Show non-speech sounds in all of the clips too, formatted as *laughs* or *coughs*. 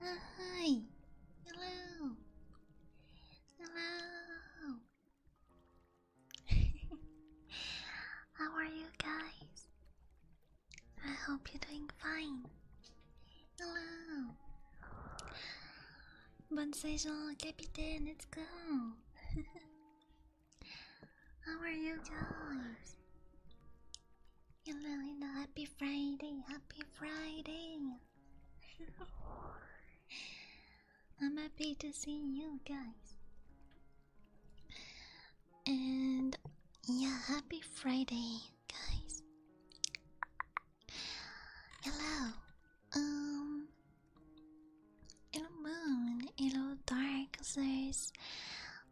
Uh, hi. Hello. Hello. *laughs* How are you guys? I hope you're doing fine. Hello. Bon capitaine, let's go. *laughs* How are you guys? Hello, hello, happy Friday, happy Friday. *laughs* I'm happy to see you guys. And yeah, happy Friday, guys. Hello, um Hello moon, hello dark there's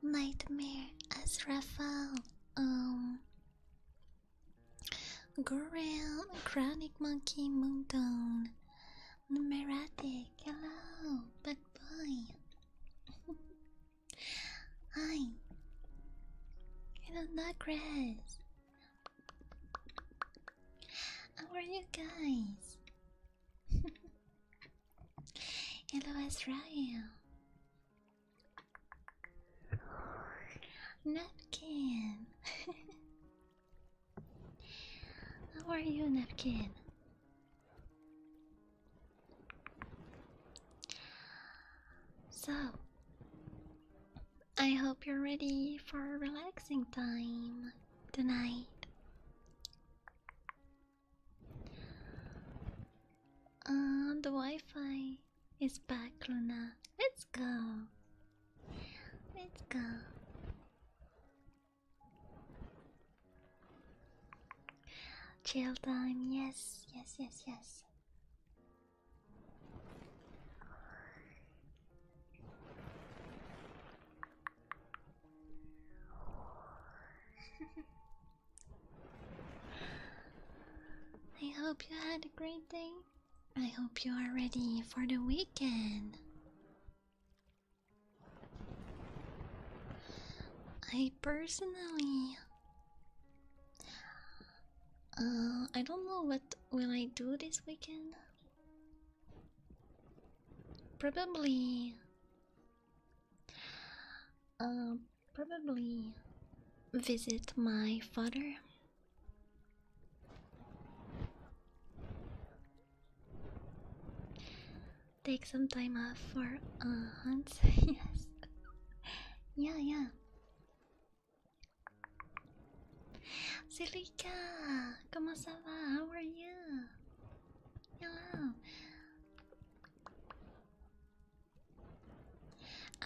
nightmare as Raphael, um Gorel, Chronic Monkey, moon Moondone, Numeratic, hello, bad boy *laughs* Hi Hello Nuggrass How are you guys? *laughs* Hello, Israel. Napkin. *laughs* How are you, Napkin? So, I hope you're ready for a relaxing time tonight. Uh, the Wi-Fi is back, Luna. Let's go. Let's go. Chill time. Yes, yes, yes, yes. I hope you had a great day. I hope you are ready for the weekend. I personally uh I don't know what will I do this weekend. Probably. Uh, probably visit my father. Take some time off for uh, hunts. *laughs* yes. yeah, yeah. Silica, comment ça va? How are you? Yeah.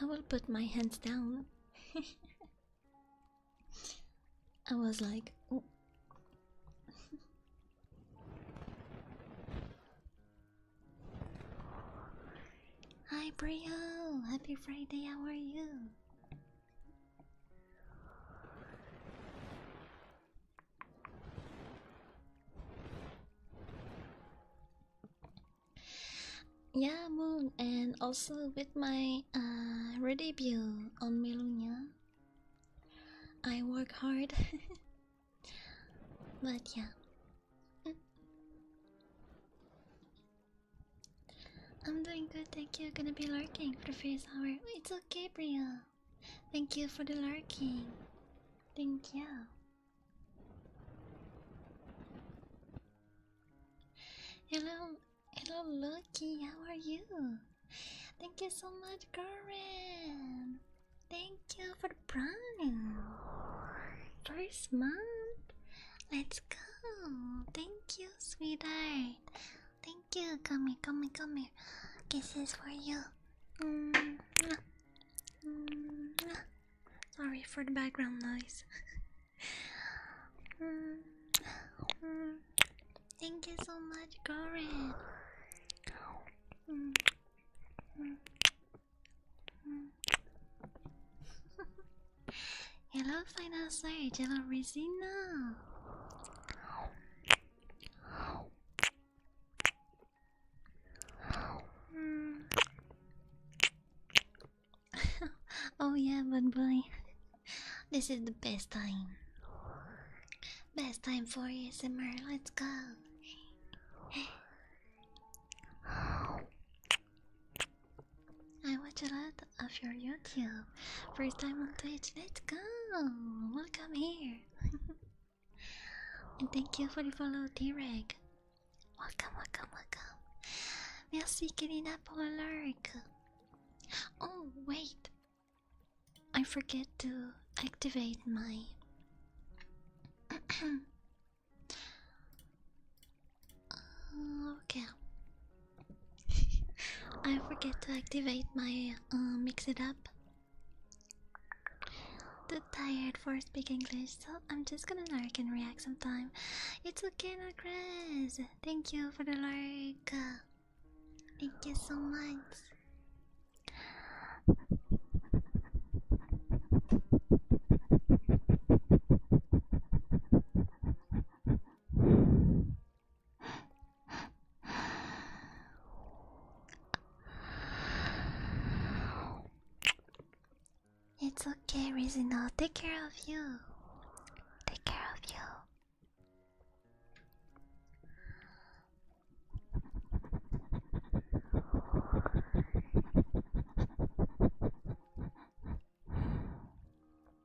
I will put my hands down. *laughs* I was like, oh. *laughs* Hi, Brio! Happy Friday, how are you? Yeah, Moon, and also with my uh, re-debut on Melunia, I work hard. *laughs* but yeah, mm. I'm doing good. Thank you. Gonna be lurking for the first hour. It's okay, Bria. Thank you for the lurking. Thank you. Hello, hello, Lucky. How are you? Thank you so much, Karen. Thank you for the prime. First month. Let's go. Thank you, sweetheart. Thank you. Come here, come here, come here. Kisses for you. Mm-hmm. Sorry for the background noise. Mm-hmm. Thank you so much, Goran. Mm-hmm. *laughs* hello, Final Hello, Resina. *laughs* oh yeah, but boy, this is the best time. Best time for ASMR. Let's go. I watch a lot of your YouTube. First time on Twitch, let's go! Welcome here! *laughs* and thank you for the follow, T-Reg. Welcome, welcome, welcome. Merci, Karina, pour le lurk. Oh, wait. I forget to activate my. *clears throat* okay. I forget to activate my uh, mix it up. Too tired for speaking English, so I'm just gonna lurk and react sometime. It's okay, Chris. Thank you for the like. Thank you so much. It's okay, Rizina. take care of you. Take care of you.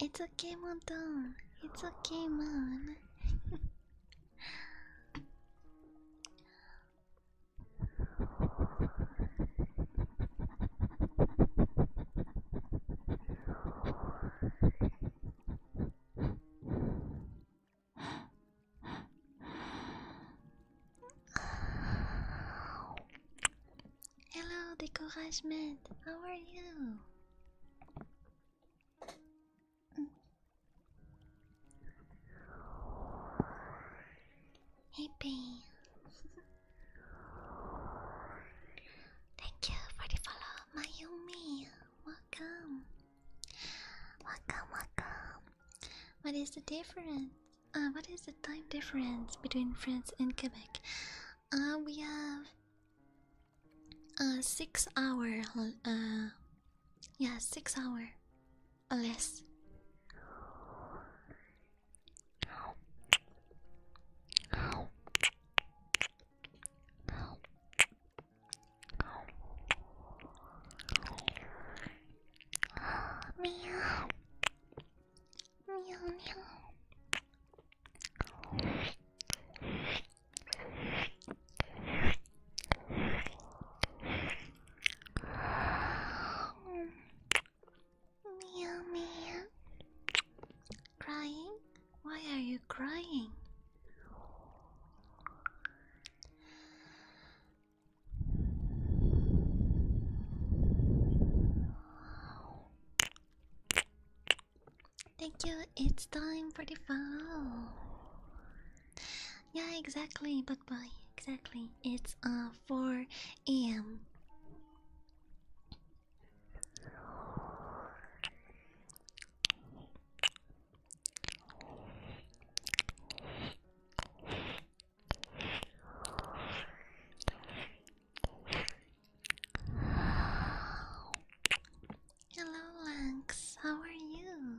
It's okay, mom. It's okay, mom. Hello, Decouragement. How are you? Hey, *laughs* Thank you for the follow, Mayumi welcome. Welcome, welcome. What is the difference? Uh, what is the time difference between France and Quebec? Uh, we have a uh, six hour, yeah, six hour or less. Meow. Meow, meow. Meow, meow. Crying? Why are you crying? Thank you, it's time for the fall. Yeah, exactly, but why? Exactly, it's uh 4 a.m. Hello, Lex. How are you?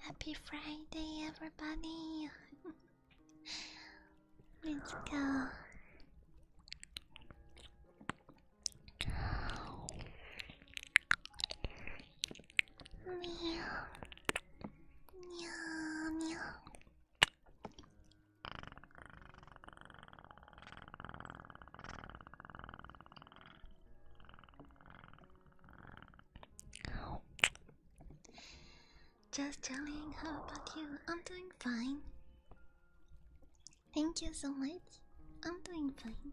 Happy Friday, everybody. *laughs* Let's go. Meow. Meow, meow. Just chilling. How about you? I'm doing fine. Thank you so much. I'm doing fine.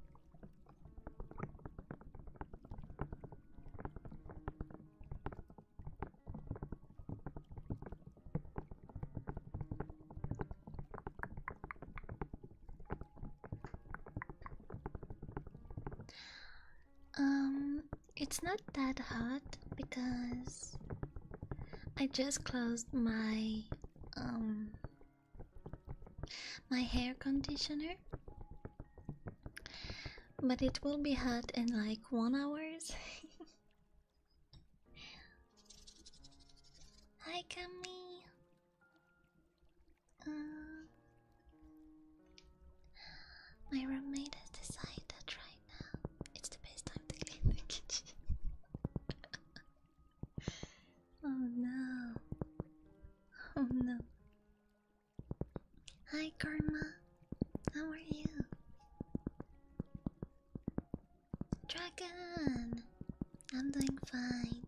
Um, it's not that hot because I just closed my um my hair conditioner but it will be hot in like one hours *laughs* hi Camille uh, my roommate has decided to try right It's the best time to *laughs* clean the kitchen. *laughs* oh no. Oh no. Hi Karma. How are you? Dragon! I'm doing fine.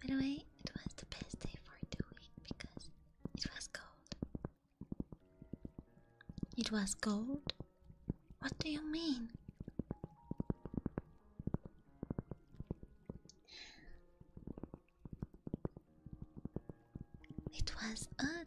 By the way, it was the best day for doing because it was cold. It was gold? What do you mean? It was odd.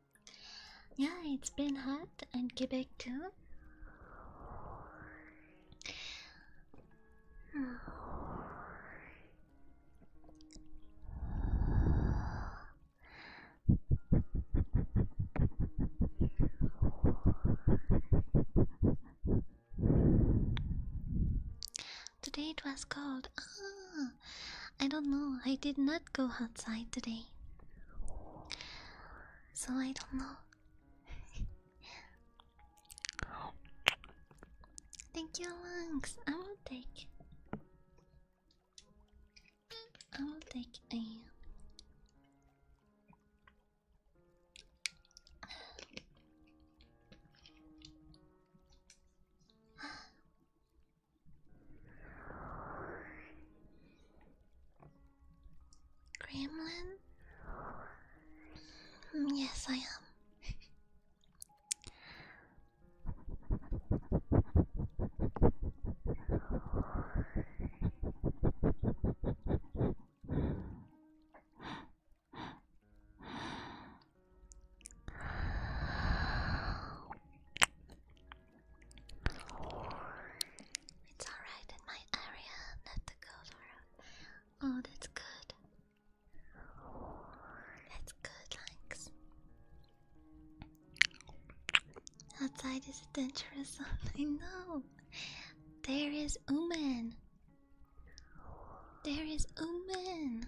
Yeah, it's been hot and Quebec too. Today it was cold. Ah, I don't know. I did not go outside today so I don't know. Thank you, Lynx. I will take. I will take a. Gremlin? Mm, yes, I am. It's alright in my area, not to go for Oh, that's good. That's good, Lynx. Outside is dangerous. *laughs* I know. There is Uman. There is Uman.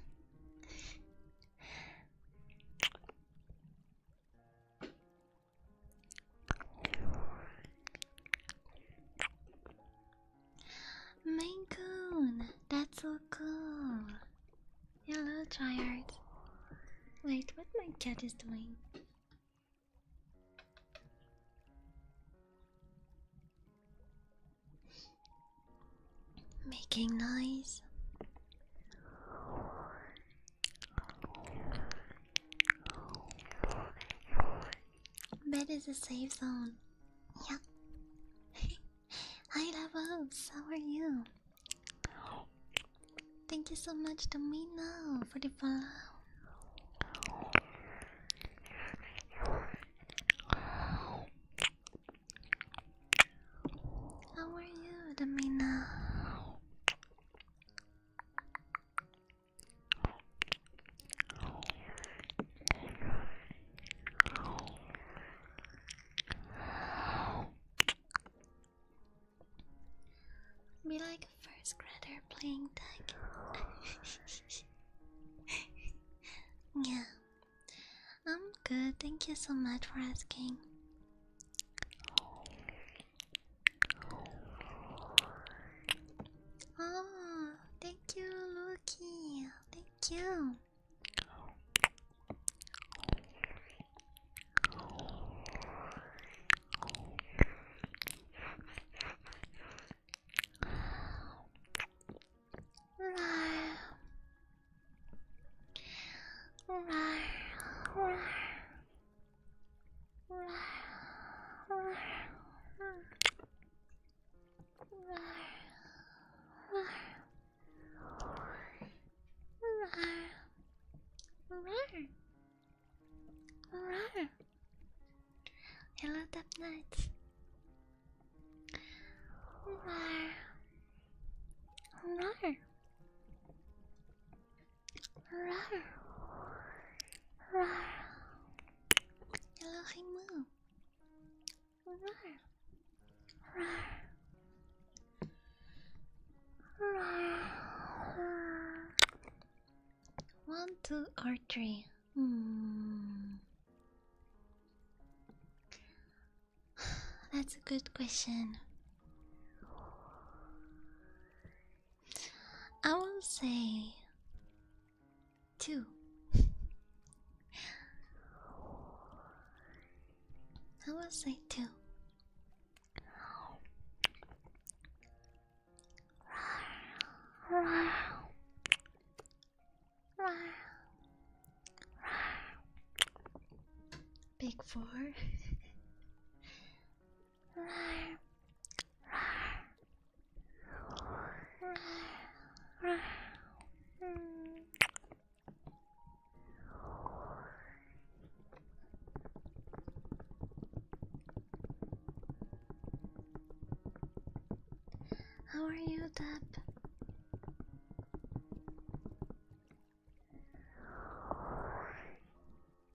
Mangoon, that's so cool. Hello, Triart. Wait, what my cat is doing? Making noise. Bed is a safe zone. Yeah. *laughs* Hi, Lavos. How are you? Thank you so much to Mino for the follow. How are you, Domina? Be like a first grader playing tag. *laughs* yeah, I'm good. Thank you so much for asking. Oh, thank you, Lucky. Thank you. Hello, Death Knights. Rawr. Rawr. Hello, One, two, or three. Hmm. *sighs* That's a good question. I will say two. I will say two. Big four. *laughs* How are you, Deb?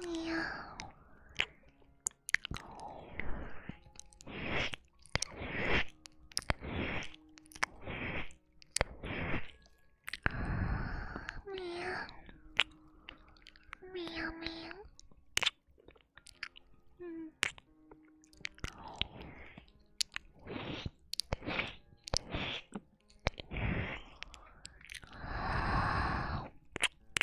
Meow. Meow meow. Mm.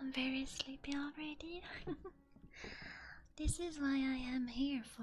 I'm very sleepy already. *laughs* this is why I am here for.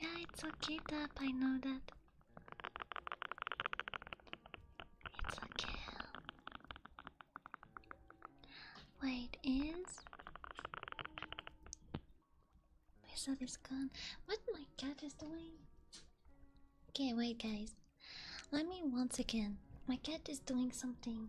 Yeah, it's okay, Dab. I know that. It's okay. Wait, is my stuff is gone? What my cat is doing? Okay, wait, guys. Let me once again. My cat is doing something.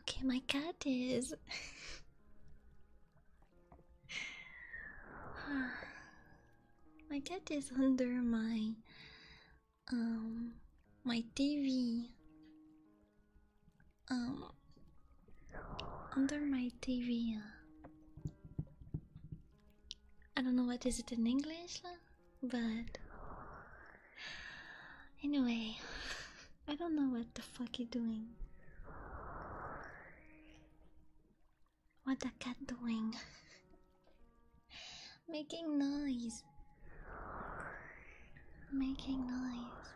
Okay, my cat is. *laughs* my cat is under my um my TV. Um under my TV. I don't know what is it in English, but anyway, I don't know what the fuck you doing. What the cat doing? *laughs* Making noise. Making noise.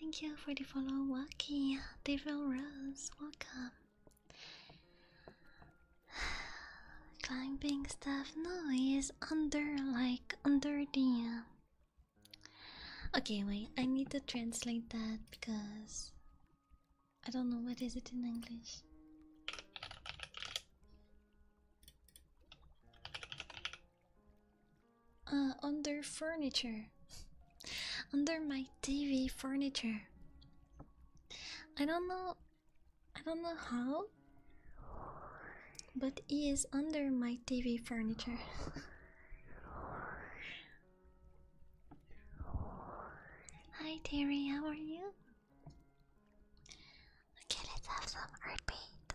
Thank you for the follow, Wacky. Devil Rose, welcome. *sighs* Climbing stuff. noise under like under the. Uh, okay, wait. I need to translate that because I don't know what is it in English. Uh, under furniture. *laughs* under my TV furniture. I don't know I don't know how but he is under my TV furniture. Hi Terry, how are you? Okay, let's have some heartbeat.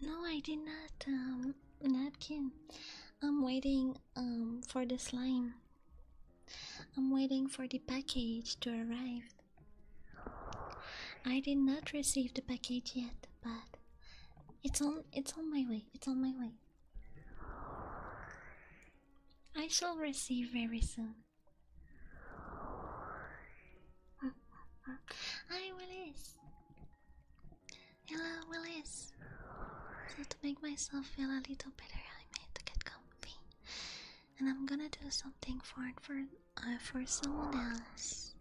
no, I did not. Um, napkin. I'm waiting. Um, for the slime. I'm waiting for the package to arrive. I did not receive the package yet, but it's on. It's on my way. It's on my way. I shall receive very soon. Hi, Willis. Hello, Willis. So to make myself feel a little better, I made to get comfy, and I'm gonna do something for for uh, for someone else.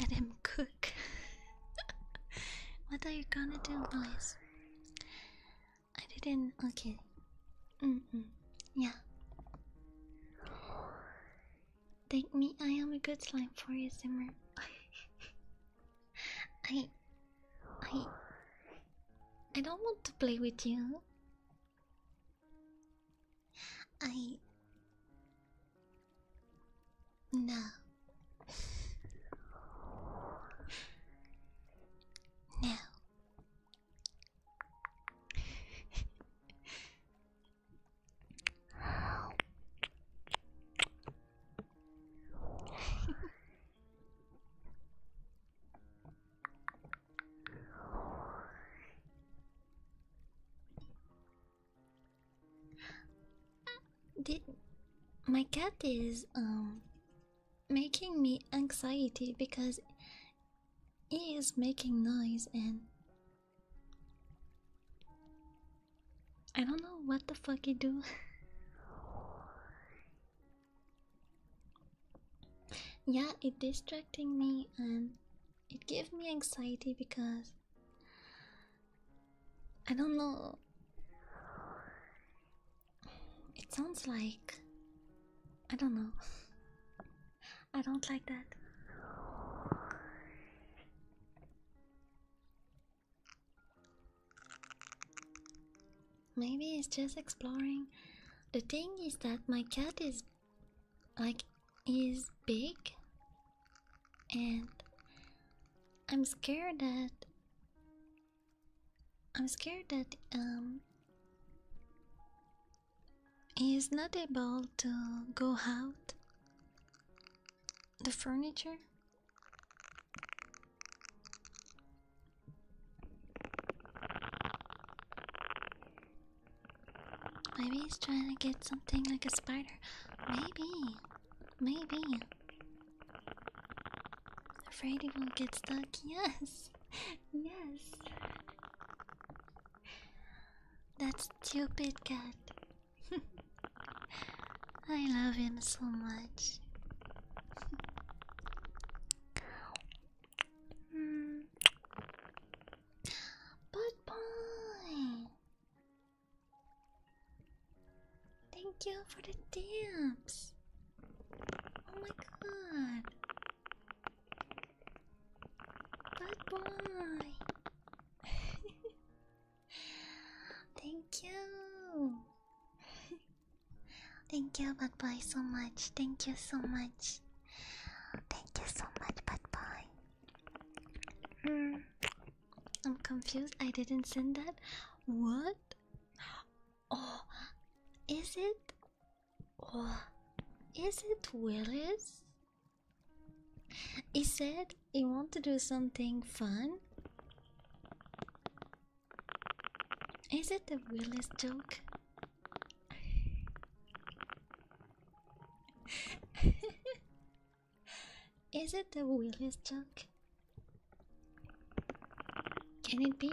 Let him cook. *laughs* what are you gonna do, Willis? I didn't. Okay. Mm, mm Yeah. Thank me. I am a good slime for you, Simmer. *laughs* I. I. I don't want to play with you. I. No. *laughs* no. Did my cat is um making me anxiety because he is making noise and I don't know what the fuck he do. *laughs* yeah, it distracting me and it gave me anxiety because I don't know it sounds like. I don't know. I don't like that. Maybe it's just exploring. The thing is that my cat is like is big and I'm scared that I'm scared that um, he's not able to go out the furniture Maybe he's trying to get something like a spider. Maybe. Maybe. Afraid he won't get stuck? Yes! Yes! That stupid cat. *laughs* I love him so much. mm. *laughs* Bud Boy! Thank you for the tips. Oh my god. Bad boy. *laughs* Thank you. Thank you, Bye bye so much. Thank you so much. Thank you so much, bad boy. Hmm. I'm confused. I didn't send that. What? Oh, is it? Oh, is it Willis? Is it? You want to do something fun. Is it the Willis joke? *laughs* Is it the Willis joke? Can it be?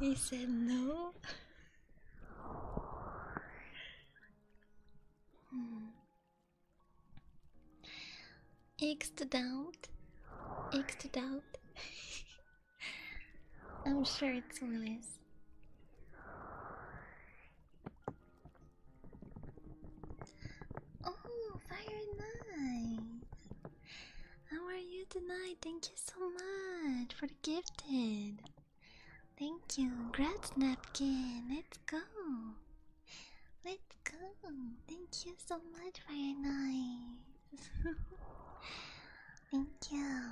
He said no. hmm. Xed out. Xed I'm sure it's Willis. Oh, Fire Knight! How are you tonight? Thank you so much for the gifted. Thank you. Congrats, Napkin. Let's go. Let's go. Thank you so much, Fire Knight. *laughs* Thank you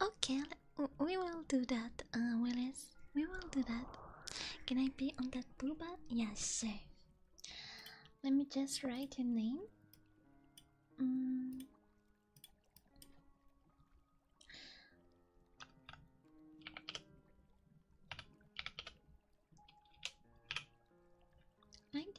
okay, we will do that, uh, Willis. We will do that. Can I be on that booba? Yes, sir. Let me just write your name. Mm. Like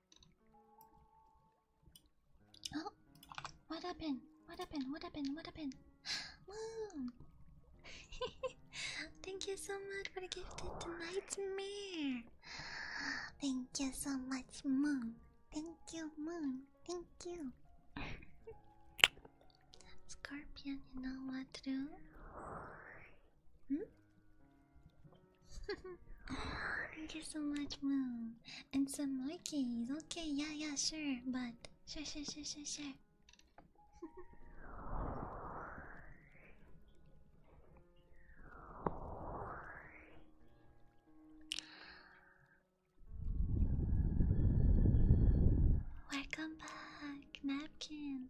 Oh, what happened? What happened? What happened? What happened? Mom, *laughs* thank you so much for the gift gifted nightmare. Thank you so much, Moon. Thank you, Moon. Thank you. *laughs* Scorpion, you know what to do? Hmm? *laughs* Thank you so much, Moon. And some monkeys. Okay, yeah, yeah, sure. But sure, sure, sure, sure, sure. *laughs* Welcome back, napkin.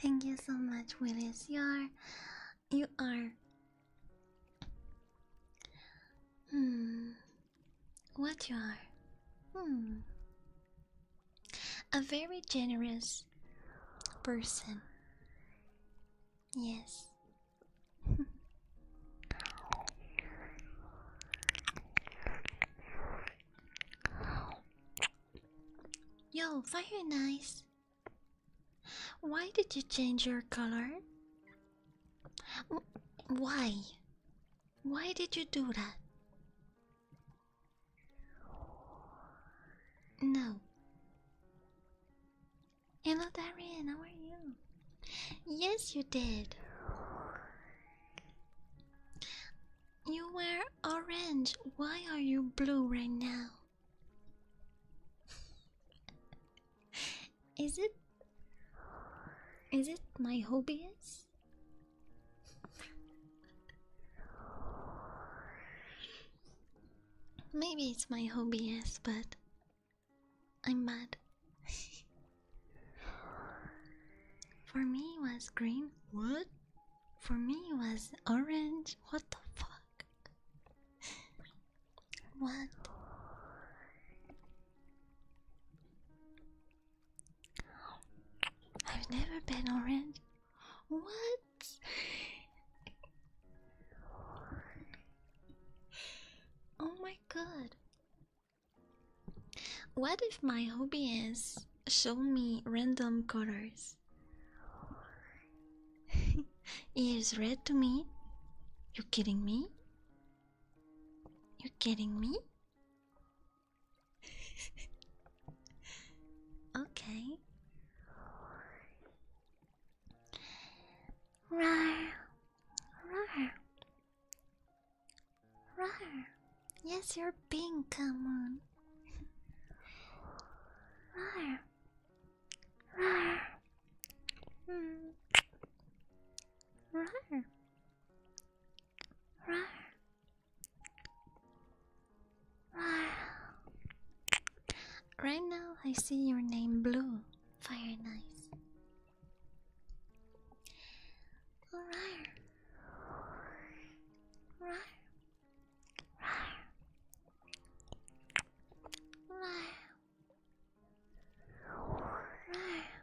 Thank you so much, Willis. You are, you are. Hmm. What you are? Hmm. A very generous person. Yes. *laughs* Yo, very nice. Why did you change your color? Why? Why did you do that? No. Hello Darian. how are you? Yes, you did. You were orange. Why are you blue right now? is it Is it my hobbies? Maybe it's my hobby, yes, but I'm mad. *laughs* For me, it was green. What? For me, it was orange. What the fuck? *laughs* What? I've never been orange. What? oh my god. What if my hobby is show me random colors? *laughs* Is red to me? You kidding me? You kidding me? *laughs* okay. Rar, rar, rar. Yes, you're being Come on. Rar, rar, mm. rar, Right now, I see your name blue. Fire nice. Alright. Right. Right. Right.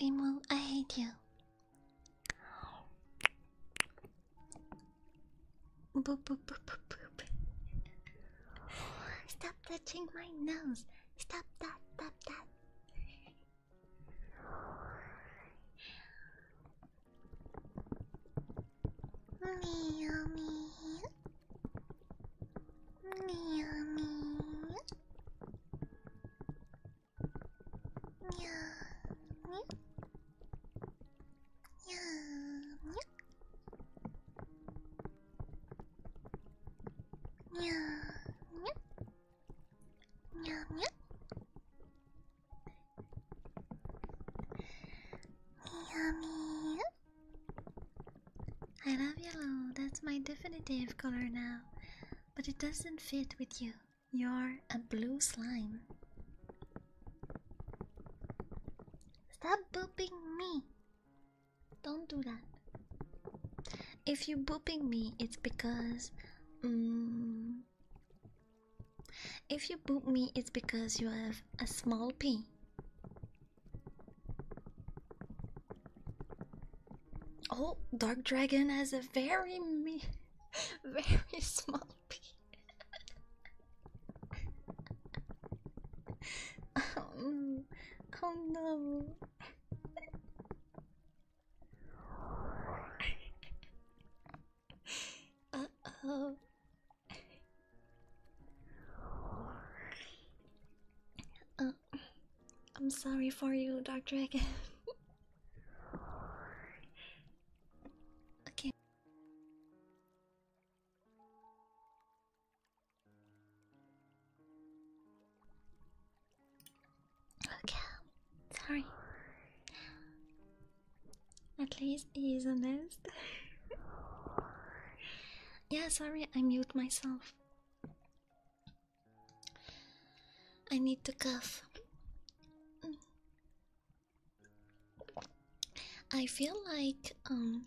Remo, I hate you. Boop, boop, boop, boop, boop. Stop touching my nose. Stop that, stop that. Meow, meow. Meow, meow. Meow, meow. Yum, yum. Yum, yum. Yum, yum. Yummy. I love yellow, that's my definitive color now, but it doesn't fit with you. You're a blue slime. Stop booping me. Don't do that. If you're booping me, it's because. Um, if you boop me, it's because you have a small pee. Oh, Dark Dragon has a very, *laughs* very small oh, oh no. uh oh. Uh, I'm sorry for you, Dark Dragon. *laughs* okay, Okay, sorry. At least he is honest. *laughs* yeah, sorry, I mute myself. I need to cough. I feel like um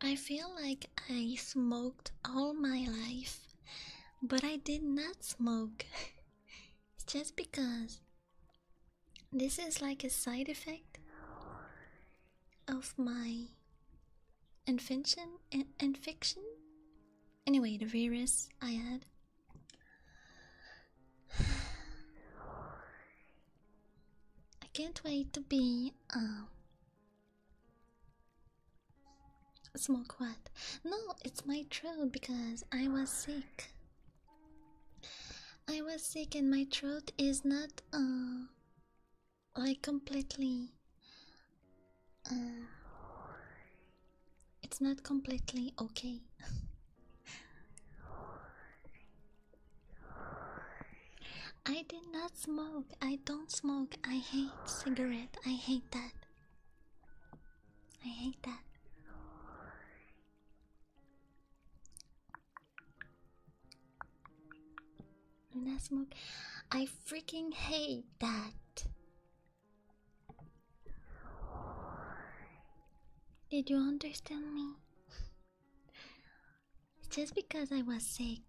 I feel like I smoked all my life, but I did not smoke. *laughs* it's just because this is like a side effect of my invention and fiction. Anyway, the virus I had. I can't wait to be um, a smoke what? No, it's my throat because I was sick. I was sick and my throat is not uh like completely uh, it's not completely okay. *laughs* I did not smoke. I don't smoke. I hate cigarette. I hate that. I hate that. Do not smoke. I freaking hate that. Did you understand me? it's just because I was sick.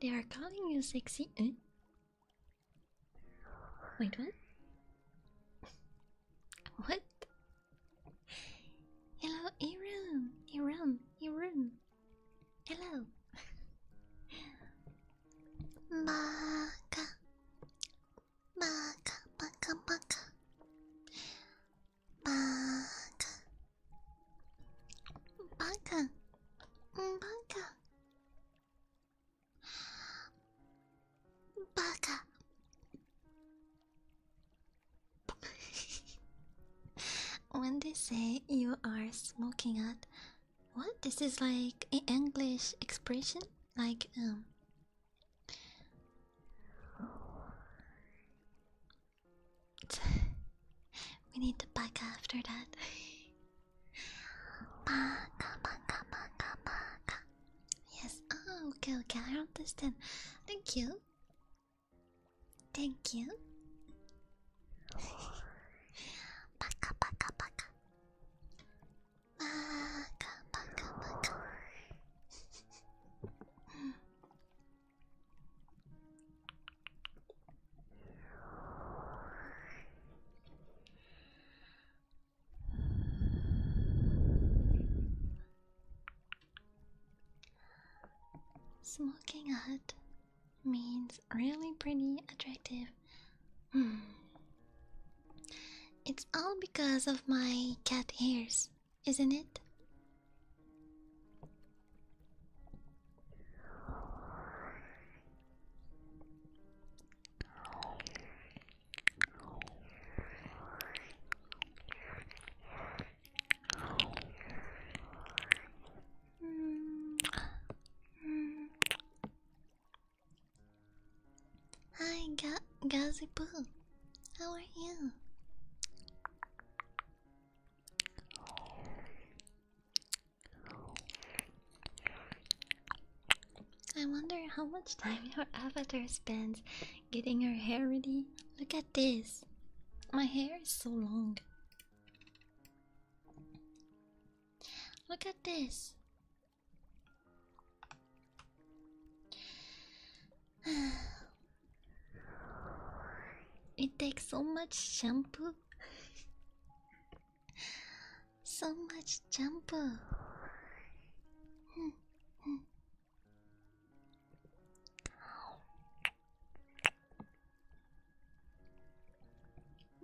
They are calling you sexy. Eh? Wait, what? *laughs* What? Hello, Aaron. Aaron. Aaron. Hello. Maka. Maka. Maka. Maka. Maka. Maka. Baka *laughs* when they say you are smoking at what this is like an english expression like um *laughs* we need to back after that baka, *laughs* baka, baka, baka. yes oh okay okay i understand thank you Thank you. Baka baka baka. Baka baka baka. Smoking hot means really pretty attractive. Hmm. It's all because of my cat ears, isn't it? Hi, Ga How are you? I wonder how much time your avatar spends getting her hair ready. Look at at this. My hair is so long. Look at this. *sighs* It takes so much shampoo. so much shampoo. Hmm, hmm.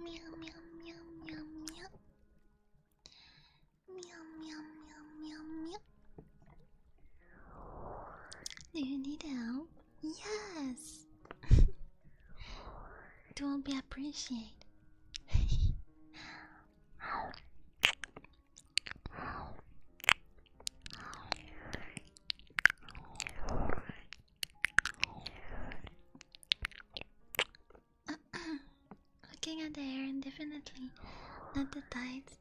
Meow meow meow meow meow. Meow meow meow meow meow. Do you need help? Yes. it *laughs* will be appreciated. *laughs* *clears throat* Looking at the air, and definitely not the tides.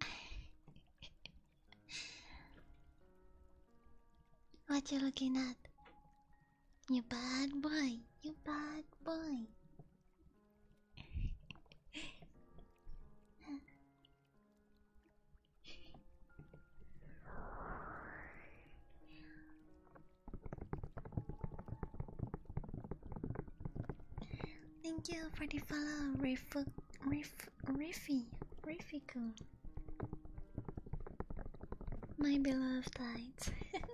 *laughs* what you looking at? You bad boy, you bad boy. *laughs* Thank you for the follow, Riff, Riff, Riffy, Riffico. My beloved light. *laughs*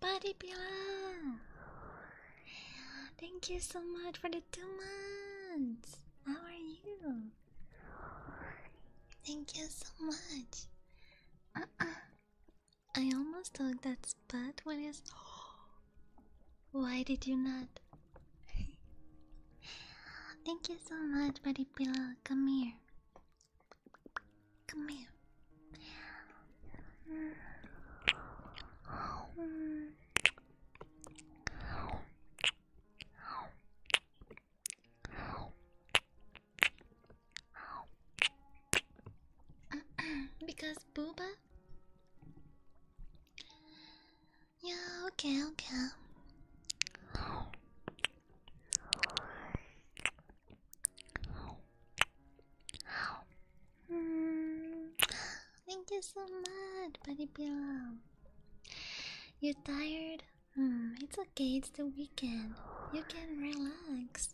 Buddy Pillow, Thank you so much for the two months! How are you? Thank you so much! Uh-uh. I almost took that spot when it's. *gasps* Why did you not? *laughs* Thank you so much, Buddy Pillow. Come here. Come here. *clears throat* because Booba? Yeah, okay, okay. Mm, thank you so much, buddy Bill. You're tired? Mm, it's okay, it's the weekend. You can relax.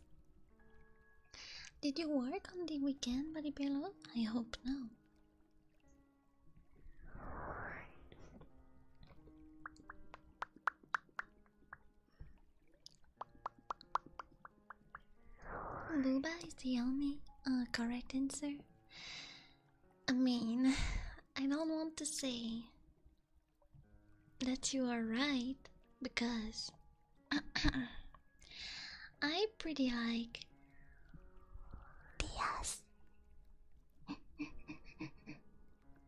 Did you work on the weekend, buddy Bill? I hope no. Luba is the only uh, correct answer. I mean, I don't want to say that you are right because *clears throat* I pretty like Diaz. *laughs*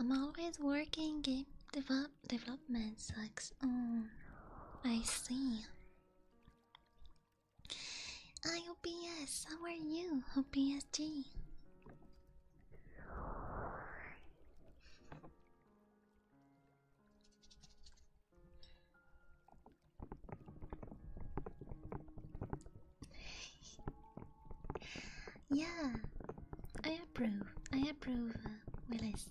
I'm always working. Game development sucks. Oh, I see. I How are you, OBSG? Yeah, I approve. I approve, uh, Willis.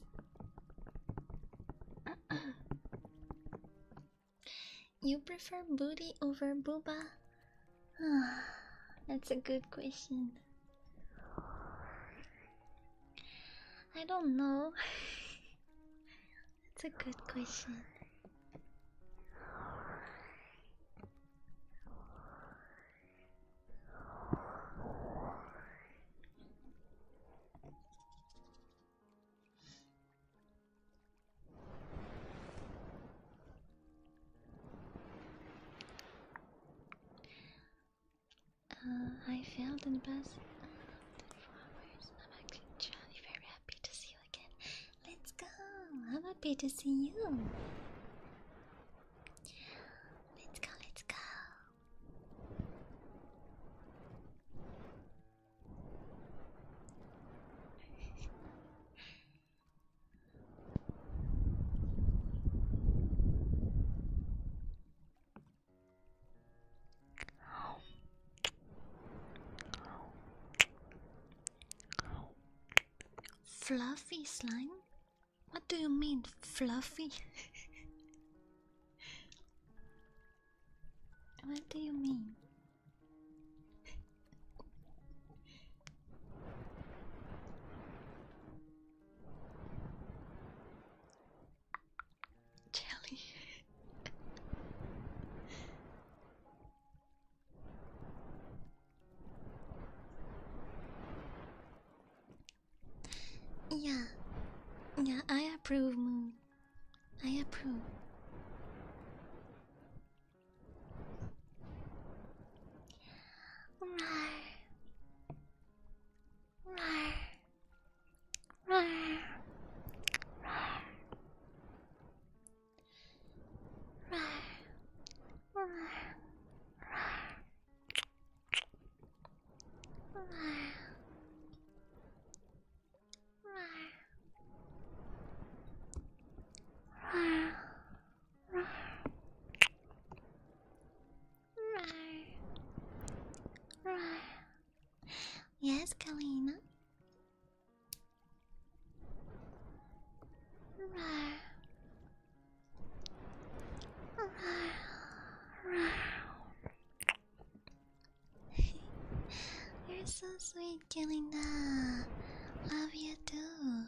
*clears throat* you prefer booty over booba? *sighs* That's a good question. I don't know. *laughs* That's a good question. Uh, I failed in the past uh, four hours. I'm actually truly very happy to see you again. Let's go! I'm happy to see you. Let's go, let's go. Fluffy slime? What do you mean, fluffy? what do you mean? Jelly. Yeah, yeah, I approve, Moon. I approve. Yes, Kalina. *laughs* You're so sweet, Kalina. Love you too.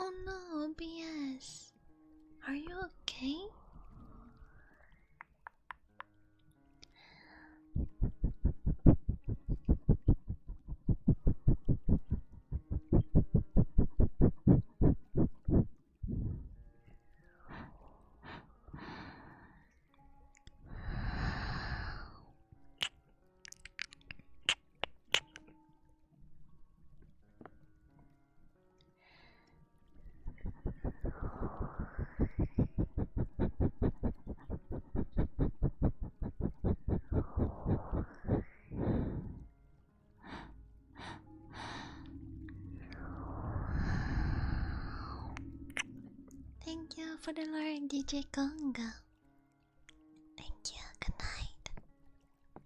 Oh no, BS! Are you okay? Thank you for the Lord DJ Conga. Thank you. Good night.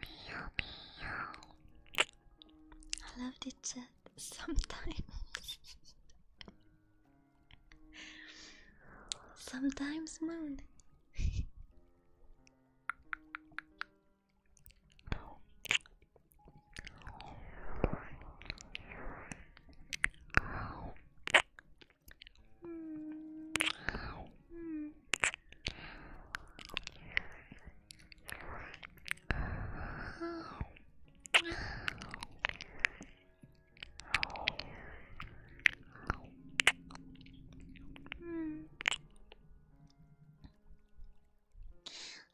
Meow, meow. I love the chat sometimes. *laughs* sometimes, moon. *laughs*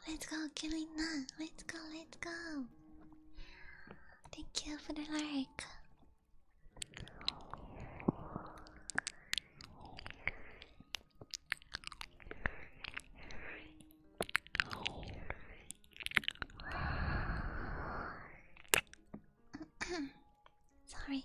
Let's go, Kirina. Let's go, let's go. Thank you for the like. *clears throat* Sorry.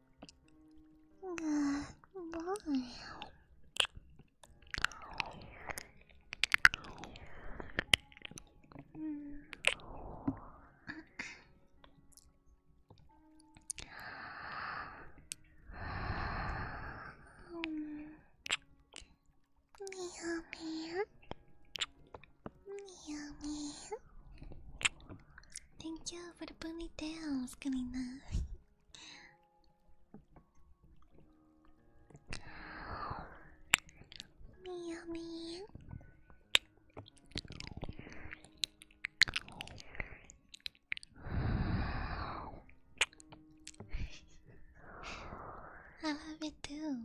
Goodbye. Meow meow. Meow meow. Thank you for the ponytail, Yummy. *laughs* I love it too.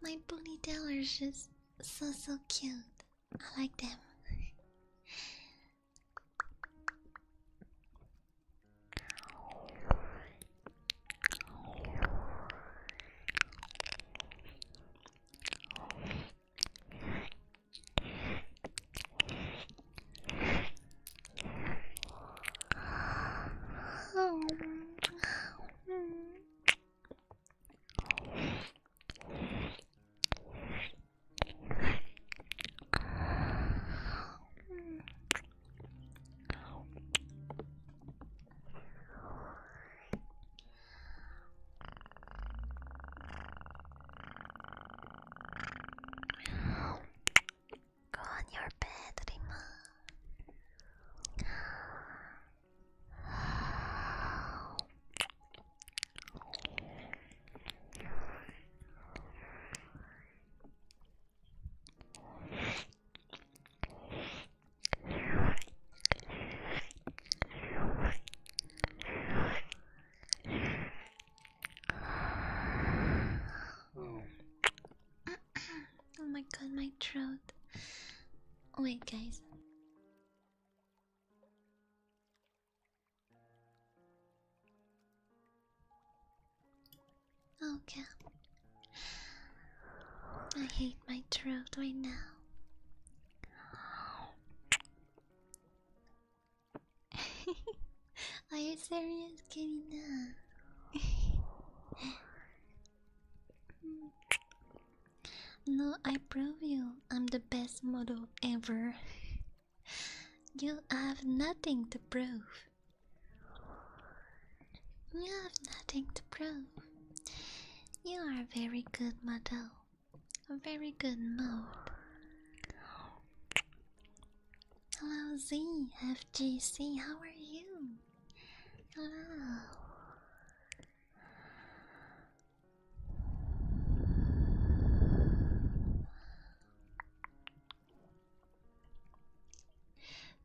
My ponytail is just so so cute. I like them. Go on your bed, oh my god, my throat. Wait, guys. Okay. I hate my throat right now. *laughs* Are you serious, Karina? *laughs* No, I prove you. I'm the best model ever. *laughs* you have nothing to prove. You have nothing to prove. You are a very good model. A very good model. Hello Z, FGC, how are you? Hello.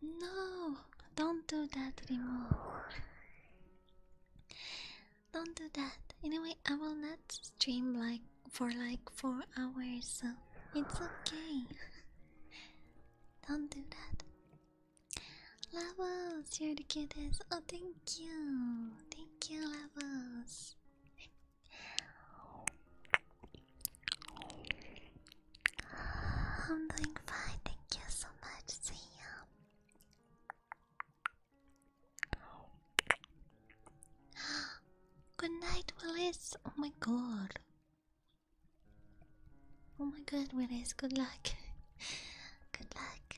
No, don't do that anymore. Don't do that. Anyway, I will not stream like for like four hours. So it's okay. *laughs* don't do that. Lavos, you're the cutest. Oh, thank you. Thank you, lovers. I'm doing fine. Thank you so much. See *gasps* Good night, Willis. Oh my god. Oh my god, Willis. Good luck. *laughs* Good luck.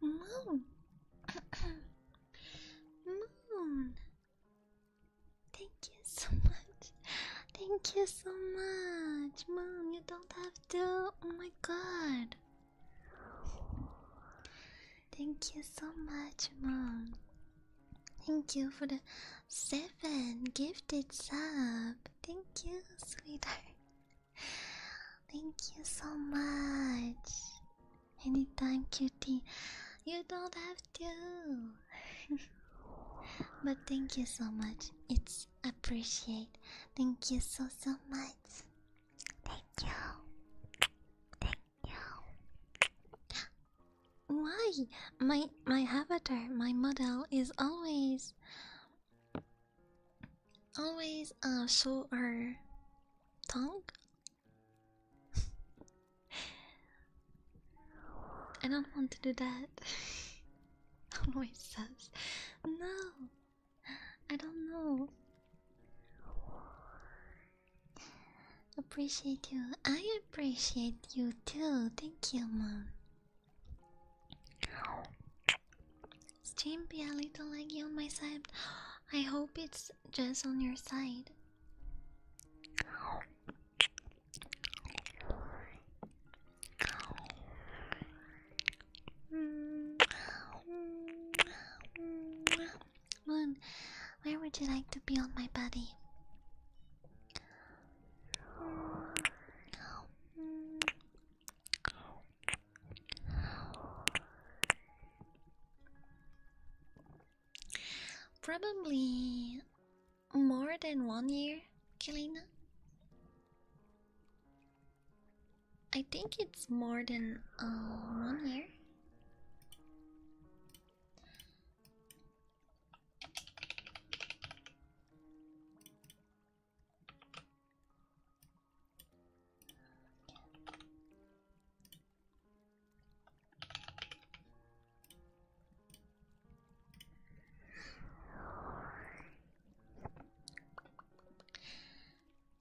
Moon. *coughs* Moon. Thank you so much. Thank you so much. Moon, you don't have to. Oh my god. Thank you so much, Mom. Thank you for the seven gifted sub. Thank you, sweetheart. Thank you so much. Anytime, cutie. You don't have to. *laughs* but thank you so much. It's appreciate. Thank you so so much. Thank you. Thank you. Why? My my avatar, my model is always always uh show her tongue. *laughs* I don't want to do that. *laughs* Always says no. I don't know. Appreciate you. I appreciate you too. Thank you, mom. Stream be a little laggy on my side. I hope it's just on your side. Moon, where would you like to be on my body? Probably more than one year, Kelina. I think it's more than uh, one year.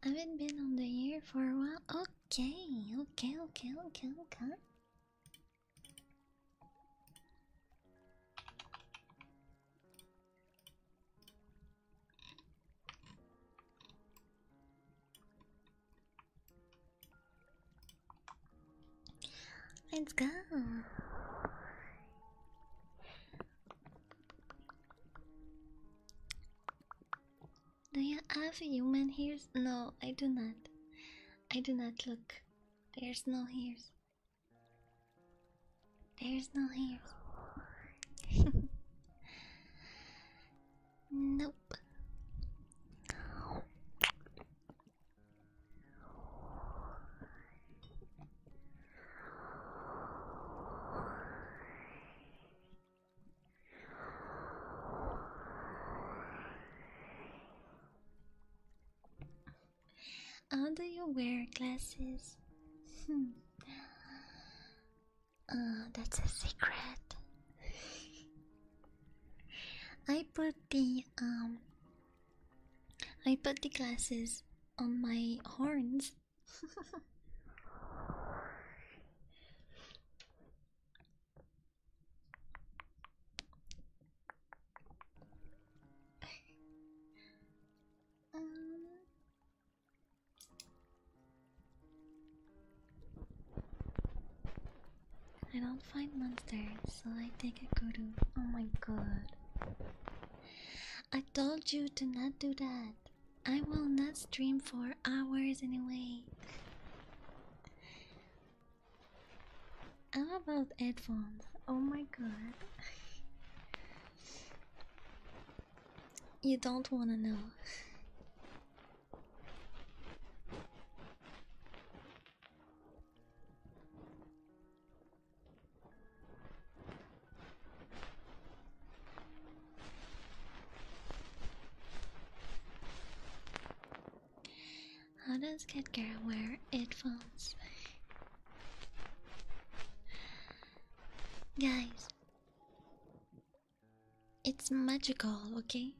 I haven't been on the air for a while. Okay, okay, okay, okay, okay. Let's go. Do you have human hairs? No, I do not. I do not look. There's no hairs. There's no hairs. *laughs* nope do you wear glasses? Hmm. Uh, that's a secret. I put the um I put the glasses on my horns um, I don't find monsters, so I take a guru. Oh my god. I told you to not do that. I will not stream for hours anyway. How about headphones? Oh my god. you don't want to know. How does Kid Garrett wear headphones? Guys, it's magical, okay?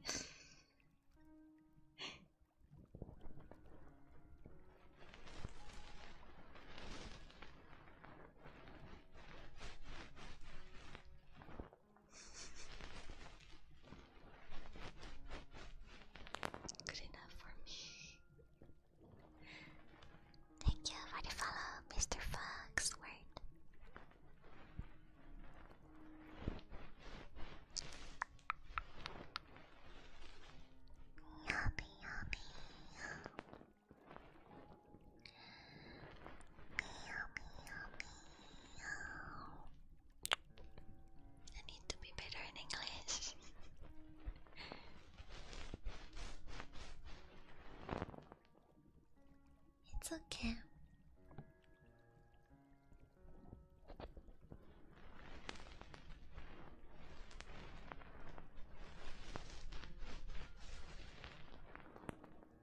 Good enough for me. Thank you for the follow, Mr. Foxworth. Yummy, yummy. I need to be better in English. *laughs* it's okay.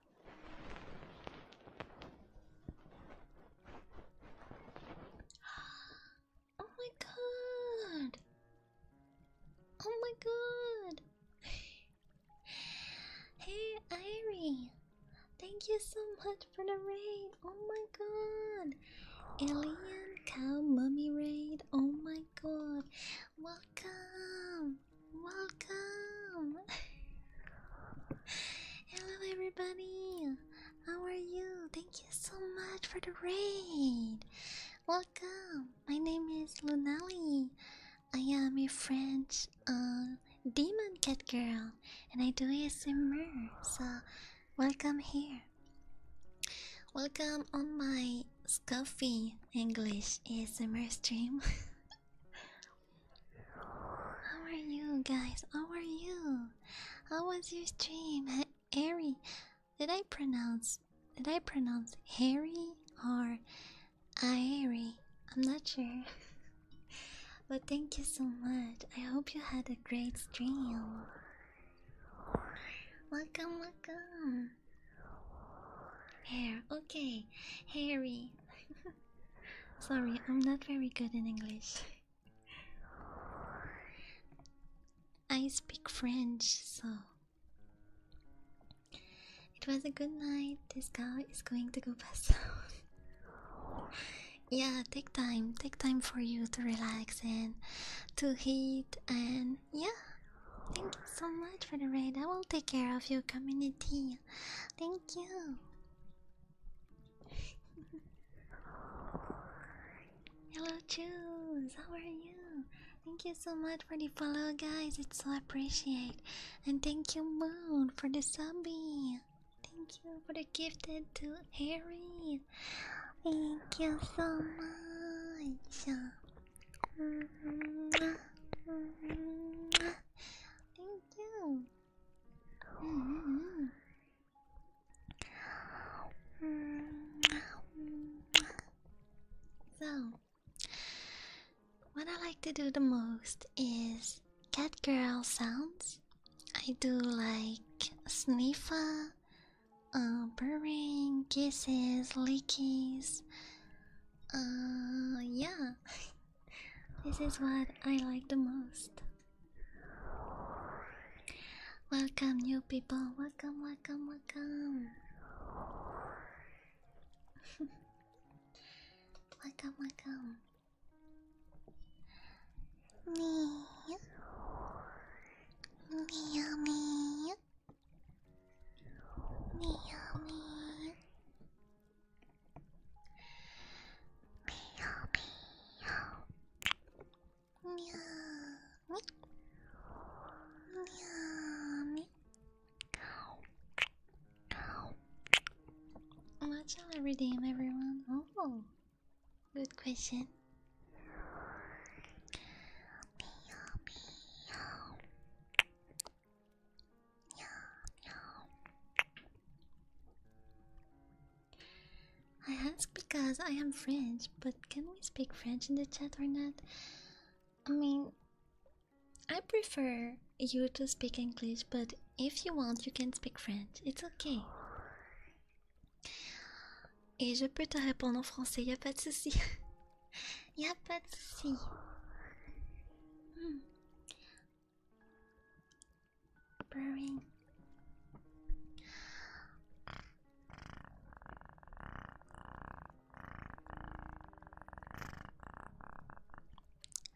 *gasps* Oh my god! Oh my god! *sighs* hey, Irie! Thank you so much for the raid! Oh my god! Alien Cow Mummy Raid! Oh my god! Welcome! Welcome! *laughs* Hello, everybody. How are you? Thank you so much for the raid. Welcome. My name is Lunali. I am a French uh, demon cat girl, and I do ASMR. So, welcome here. Welcome on my scuffy English ASMR stream. *laughs* How are you guys? How are you? How was your stream? Ha Harry? Did I pronounce did I pronounce Harry or Airy? I'm not sure. *laughs* but thank you so much. I hope you had a great stream. Welcome, welcome. Hair, okay. Harry. *laughs* Sorry, I'm not very good in English. I speak French, so. It was a good night. This guy is going to go pass *laughs* yeah, take time. Take time for you to relax and to eat, And yeah, thank you so much for the raid. I will take care of your community. Thank you. Hello, Choose. How are you? Thank you so much for the follow, guys. It's so appreciated. And thank you, Moon, for the zombie. Thank you for the gifted to Harry. Thank you so much. Thank you. So, what I like to do the most is cat girl sounds. I do like sniffer, uh, purring, kisses, lickies. Uh, yeah. *laughs* This is what I like the most. Welcome, new people. Welcome, welcome, welcome. *laughs* welcome, welcome. Me. Meow me. Meow me. Meow, meow. Meow, meow. Meow, meow. Watch out every day, everyone. Oh, good question. Meow, meow. I ask because I am French, but can we speak French in the chat or not? I mean, I prefer you to speak English, but if you want, you can speak French. It's okay. Et je peux te répondre en français, y a pas de souci. *laughs* y a pas de souci. Hmm. Brewing.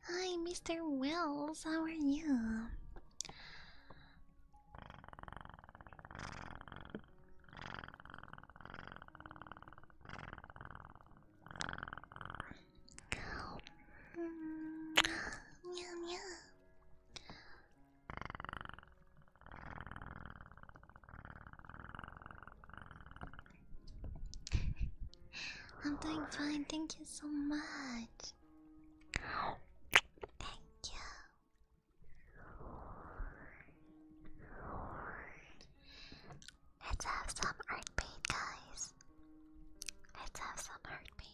Hi, Mr. Wells, how are you? *laughs* I'm doing fine, thank you so much. Thank you. Let's have some art paint, guys. Let's have some heartbeat.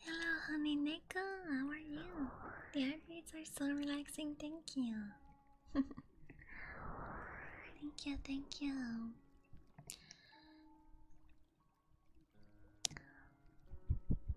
Hello, honey Nico. How are you? The eyebrows are so relaxing. Thank you. *laughs* thank you. Thank you.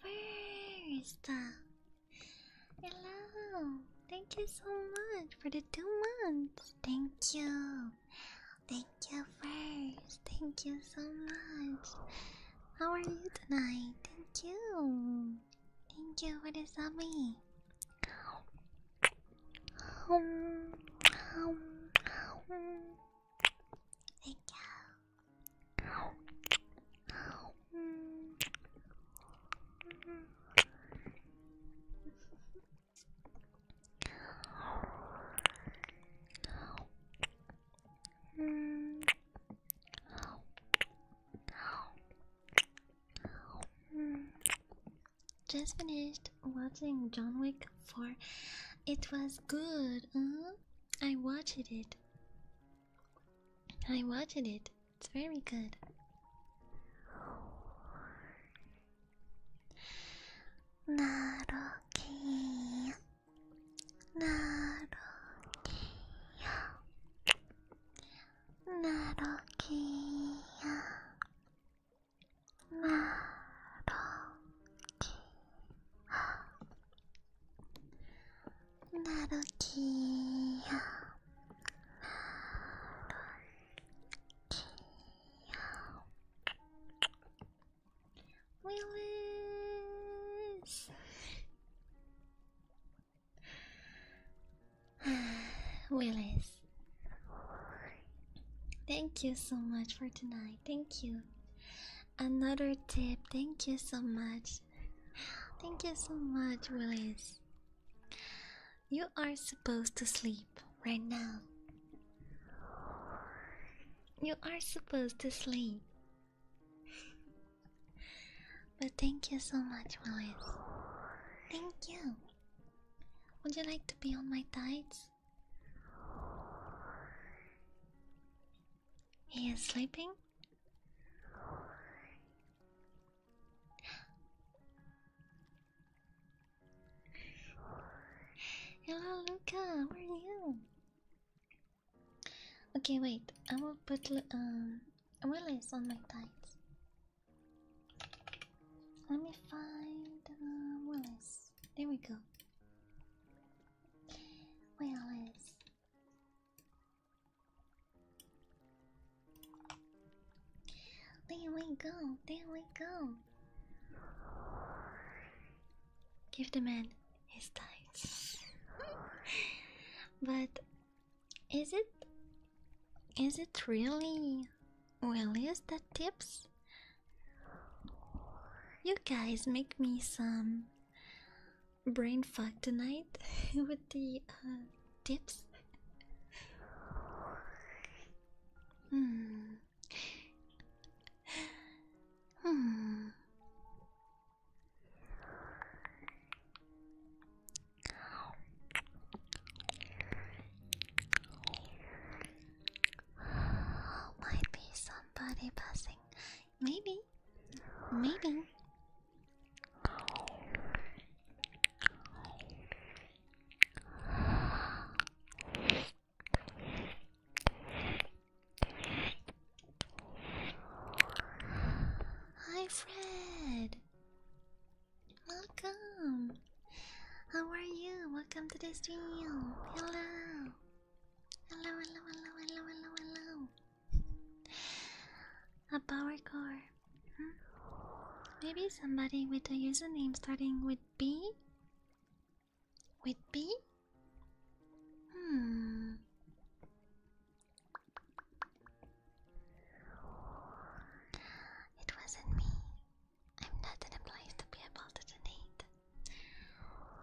First, hello. Thank you so much for the two months. Thank you. Thank you first. Thank you so much. How are you tonight? Thank you. Thank you for the zombie. Thank you. Just finished watching John Wick 4. It was good, I watched it. I watched it. It's very good. Naruki. Naruki. Naruki. Naruki. 나루키야 나루키야 Willis *sighs* Willis Thank you so much for tonight. Thank you. Another tip. Thank you so much. Thank you so much, Willis. You are supposed to sleep right now. You are supposed to sleep. but thank you so much, Willis. Thank you. Would you like to be on my tights? He is sleeping? Hello, Luca. Where are you? Okay, wait. I will put um Willis on my tights. Let me find uh, Willis. There we go. Willis. There we go, there we go. Give the man his tights. *laughs* but is it is it really Willius that tips? You guys make me some brain fuck tonight *laughs* with the uh, tips. Hmm. Hmm. Might be somebody passing Maybe. Maybe. Hi, Fred. Welcome. How are you? Welcome to the stream. Hello. A power core. Hmm? Maybe somebody with a username starting with B? With B? Hmm. It wasn't me. I'm not in a place to be able to donate.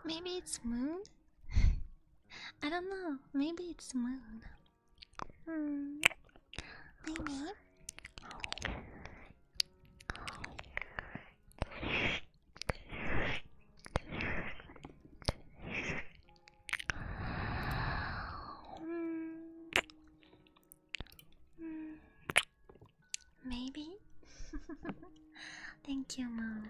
Maybe it's Moon? *laughs* I don't know. Maybe it's moon. Hmm. My name? Maybe. *laughs* Thank you, Moon.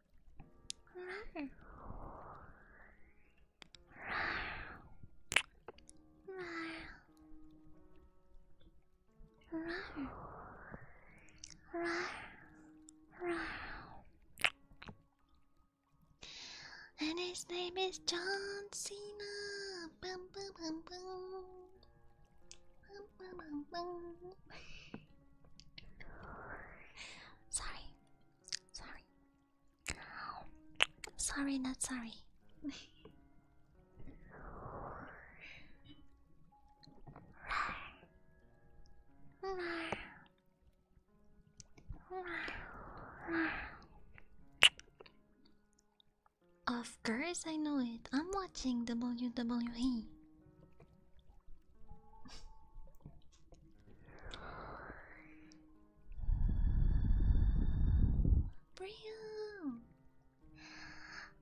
And his name is John Cena. Bum, bum, bum, bum. Bum, bum, bum, bum. Sorry. Sorry. Sorry, not sorry. Of course, I know it. I'm watching WWE. Brio!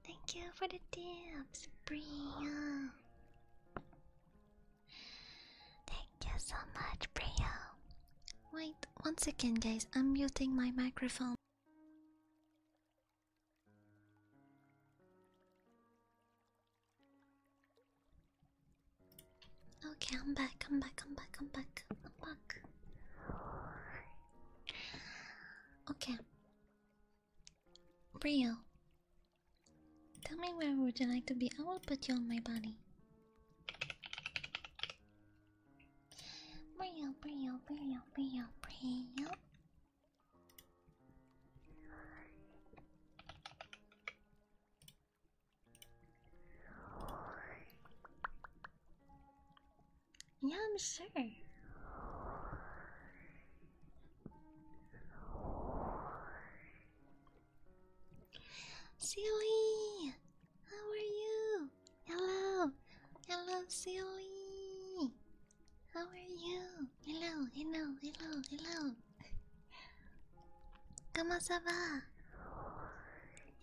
Thank you for the tips, Brio! Thank you so much, Brio! Wait, one second, guys, I'm muting my microphone. Okay, I'm back, I'm back, I'm back, I'm back, I'm back. Okay. Rio. Tell me where would you like to be? I will put you on my body. Brio, Brio, Brio, Brio, Brio. Yeah, I'm sure. Silly, how are you? Hello, hello, Silly. How are you? Hello, hello, hello, hello. Comment ça va?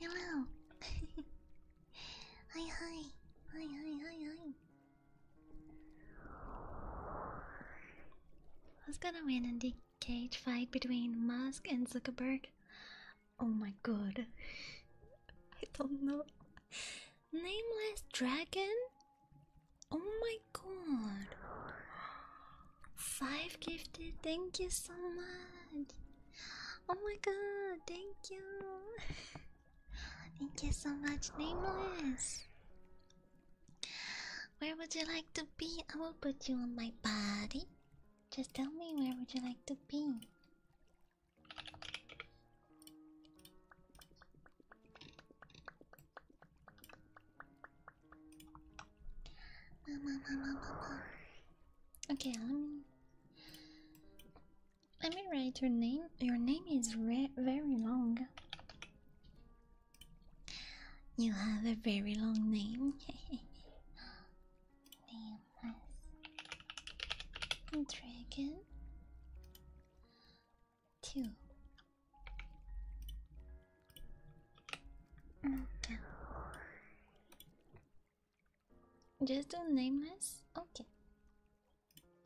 Hello. *laughs* hi, hi, hi, hi, hi, hi. Who's gonna win in the cage fight between Musk and Zuckerberg? Oh my god. *laughs* I don't know. Nameless Dragon? Oh my god. Five gifted, thank you so much. Oh my god, thank you. *laughs* thank you so much, Nameless. Where would you like to be? I will put you on my body. Just tell me where would you like to be? Mama, mama, mama. Okay, let me. Let me write your name. Your name is very long. You have a very long name. *laughs* Name Dragon two. Mm, Just do nameless? Okay.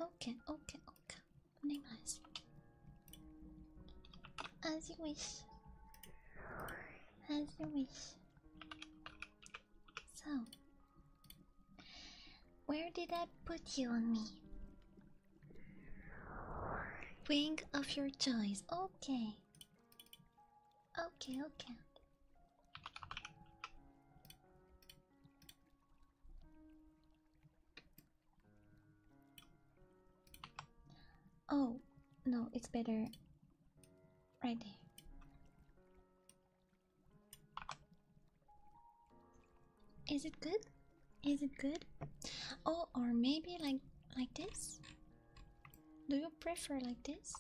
Okay, okay, okay. Nameless. As you wish. As you wish. So, where did I put you on me? Wing of your choice. Okay. Okay, okay. Oh, no, it's better right there. Is it good? Is it good? Oh, or maybe like like this? Do you prefer like this?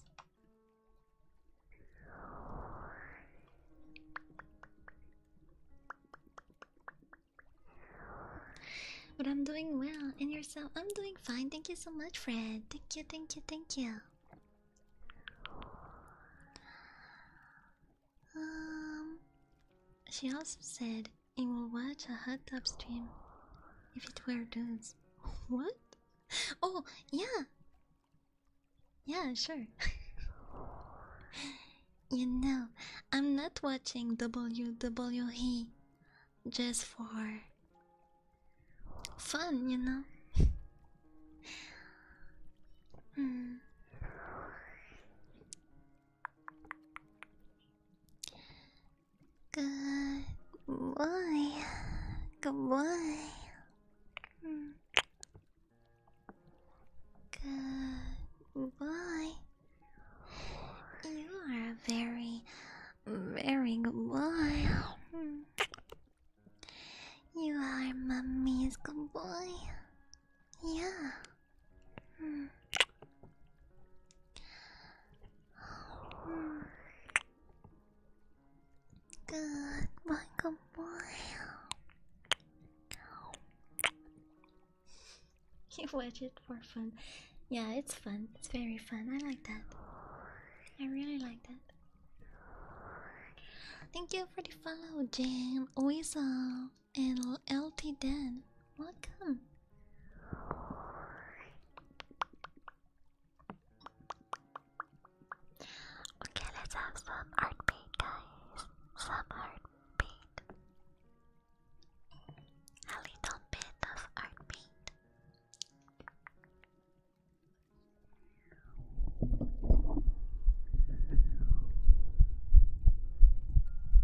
But I'm doing well, and yourself? I'm doing fine. Thank you so much, Fred. Thank you, thank you, thank you. Um, she also said it will watch a hot tub stream if it were dudes. *laughs* what? Oh, yeah. Yeah, sure. *laughs* you know, I'm not watching WWE just for fun, you know? *laughs* hmm. Good boy. Good boy. Good boy. You are a very, very good boy. You are mommy's good boy. Yeah. Good boy, good boy. You watch it for fun. Yeah, it's fun. It's very fun. I like that. I really like that. Thank you for the follow, Jam. Weasel and LT Dan, welcome. Okay, let's have some heartbeat, guys. Some heartbeat. A little bit of heartbeat.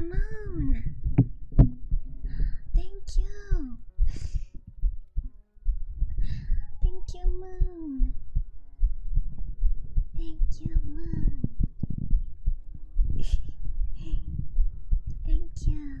Moon, thank you, thank you, Moon, thank you, Moon, thank you.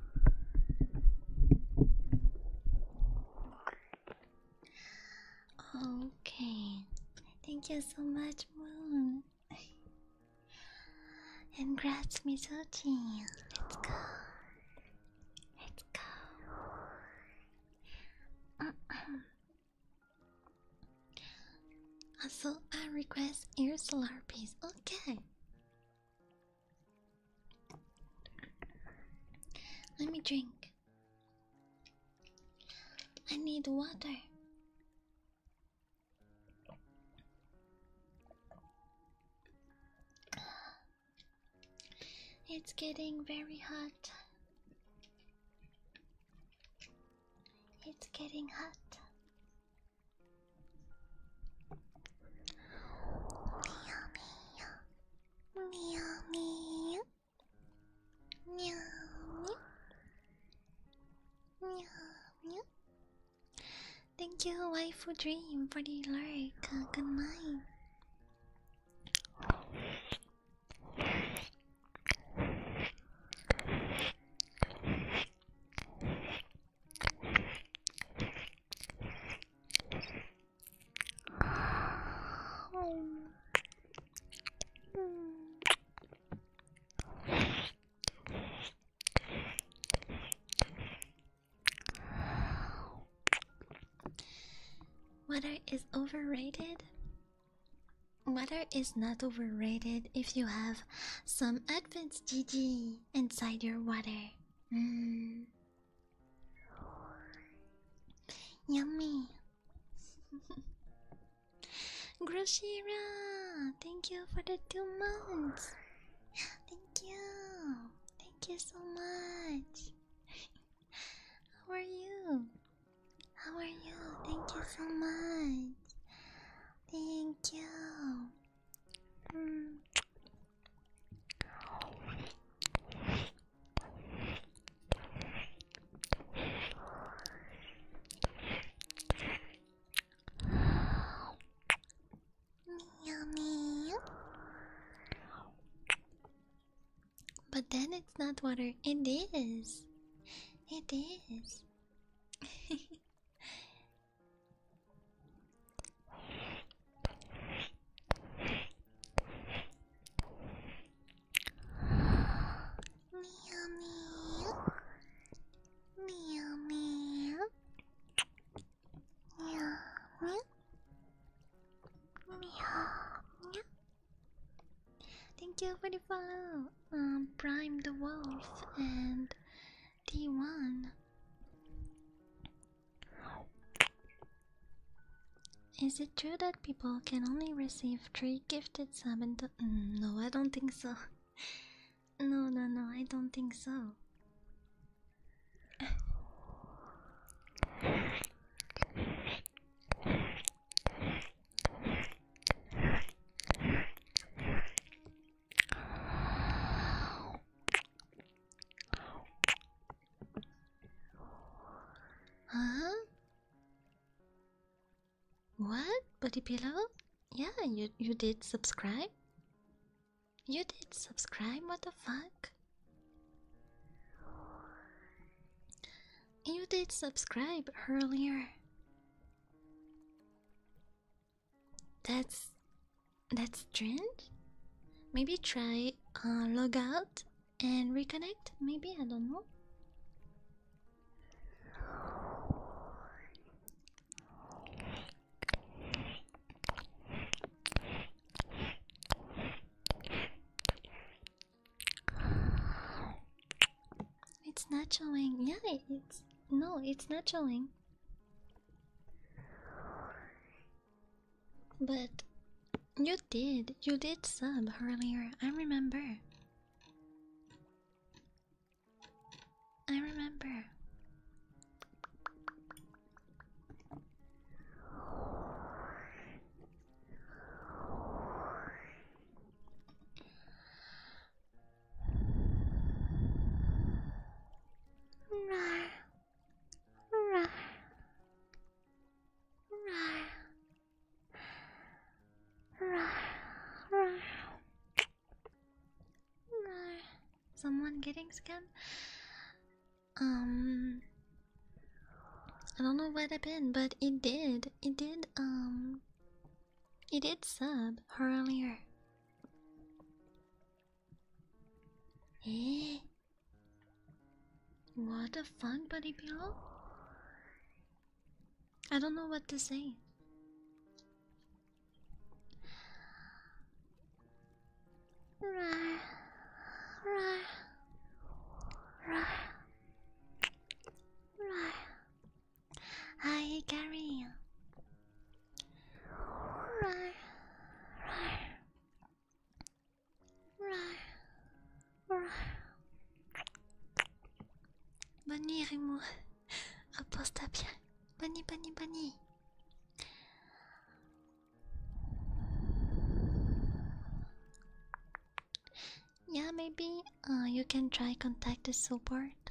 Okay, thank you so much, Moon. and congrats, Mizuchi. Let's go. Let's go. Uh Also, I request air solar piece. Okay. Let me drink. I need water. It's getting very hot. It's getting hot. Thank you, Waifu Dream, for the lurk. Uh, good night. Water is overrated. Water is not overrated if you have some Advance GG inside your water. Mm. Yummy. *laughs* Grushira, thank you for the two months. Thank you. Thank you so much. How are you? How are you? Thank you so much. Thank you. Mm. Yummy. But then it's not water. It is. It is. *laughs* Thank you for the follow. Um, Prime the Wolf and D1. Is it true that people can only receive three gifted sub mm, no, I don't think so. *laughs* No, no, no, I don't think so. Huh? What? Buddy Pillow? Yeah, you you did subscribe? You did subscribe, what the fuck? You did subscribe earlier. That's that's strange. Maybe try uh, log out and reconnect. Maybe I don't know. It's not showing. Yeah, it's no, it's not showing. But you did, you did sub earlier. I remember. I remember. Someone getting scammed? Um, I don't know what happened, but it did. It did, um, it did sub earlier. Eh? What a fun, buddy pillow! I don't know what to say. Rawr, rawr, rawr, rawr. Hi, Gary. Bonne Rimu, repose-toi bien. Bonne, bonne, bonne. Yeah, maybe uh, you can try contact the support.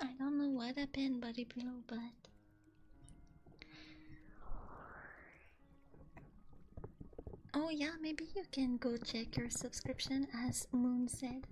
I don't know what happened, buddy pillow, but oh yeah, maybe you can go check your subscription, as Moon said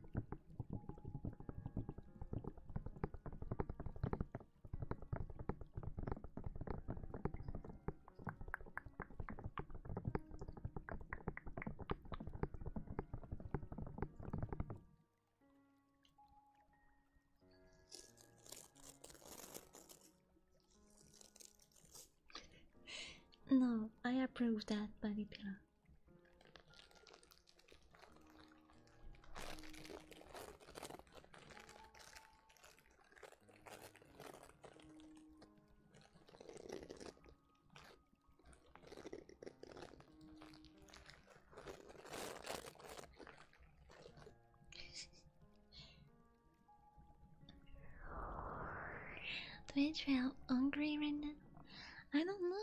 no, I approve that, Bunny Pillar. Twitch, I'm hungry right now. I don't know.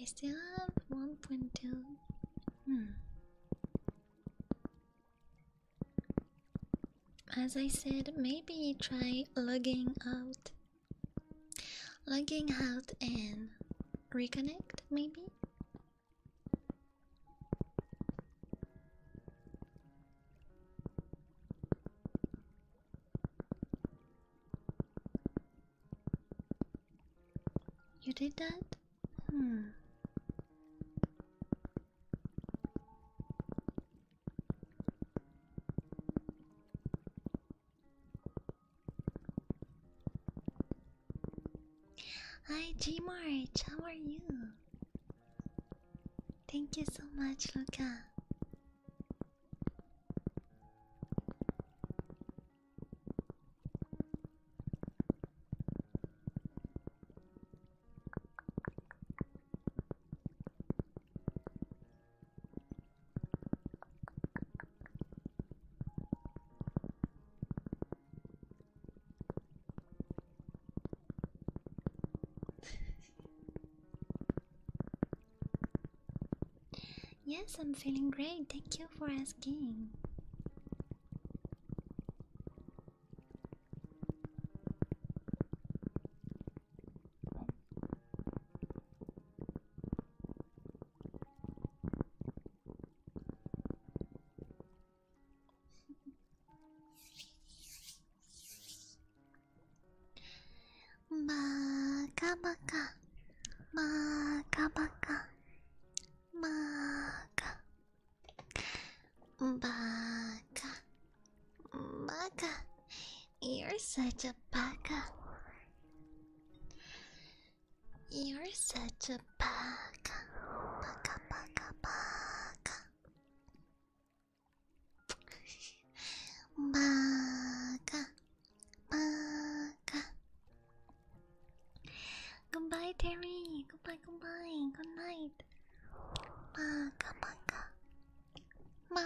I still have one point two. Hmm. As I said, maybe try logging out, logging out, and reconnect. Maybe you did that? Hmm. Hi, G March, how are you? Thank you so much, Luca yes, I'm feeling great. Thank you for asking. Baka baka, baka baka, baka, baka, baka. You're such a baka. You're such a baka, baka, baka, baka. バーカバーカ Goodbye Terry Goodbye Goodbye Good night バーカバカバー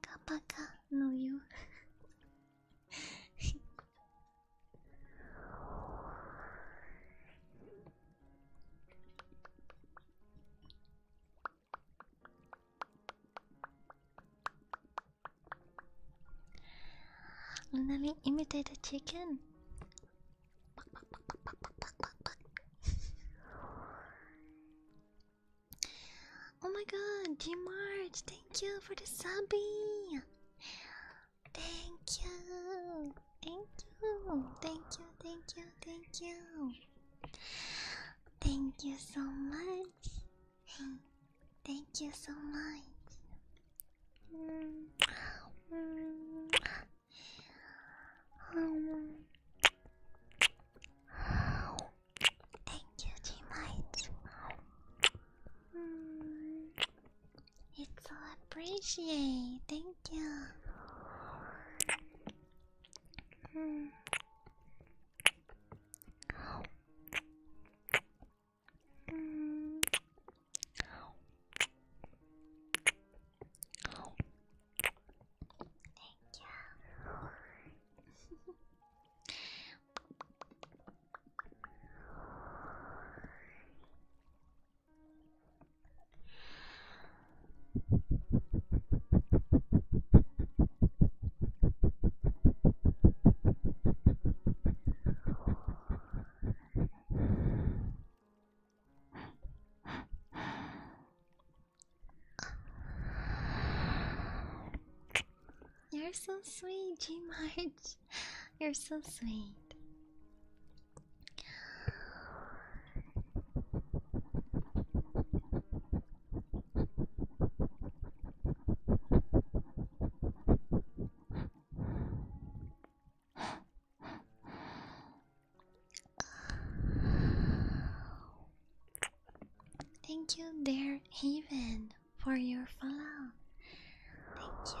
カバカのよ Good *laughs* Let me imitate the chicken. oh my god, G March, thank you for the subby. Thank you. Thank you, thank you, thank you, thank you. Thank you so much. thank you so much. Thank you, G Might. It's all appreciate. Thank you. Mm. Thank you. You're so sweet, G March. You're so sweet. Thank you, dear Haven, for your follow. Thank you.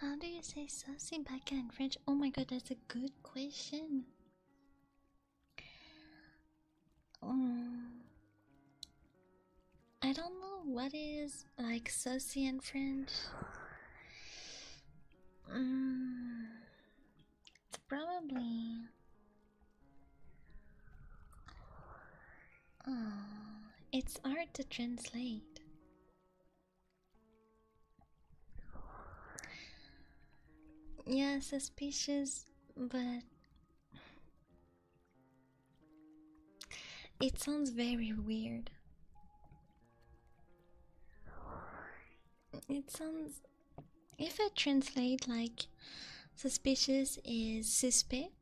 How do you say saucy baka in French? Oh my god, that's a good question. Um, I don't know what is like saucy in French. Um, it's probably. Uh, it's hard to translate. Yeah, suspicious, but it sounds very weird. It sounds. If I translate like suspicious is suspe,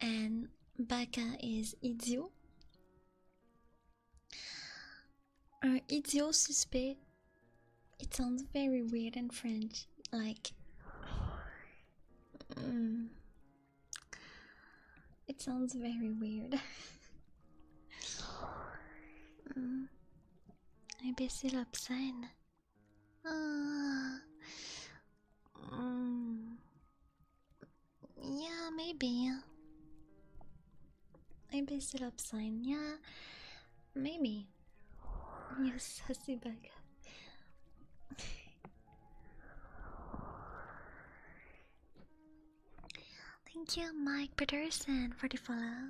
and baka is idiot, or uh, idiot It sounds very weird in French, like. Mm. It sounds very weird. *laughs* mm. I baissé l'obscene. Yeah, maybe. I based it upside. Yeah, maybe. *laughs* You sassy bag. Thank you, Mike Peterson, for the follow.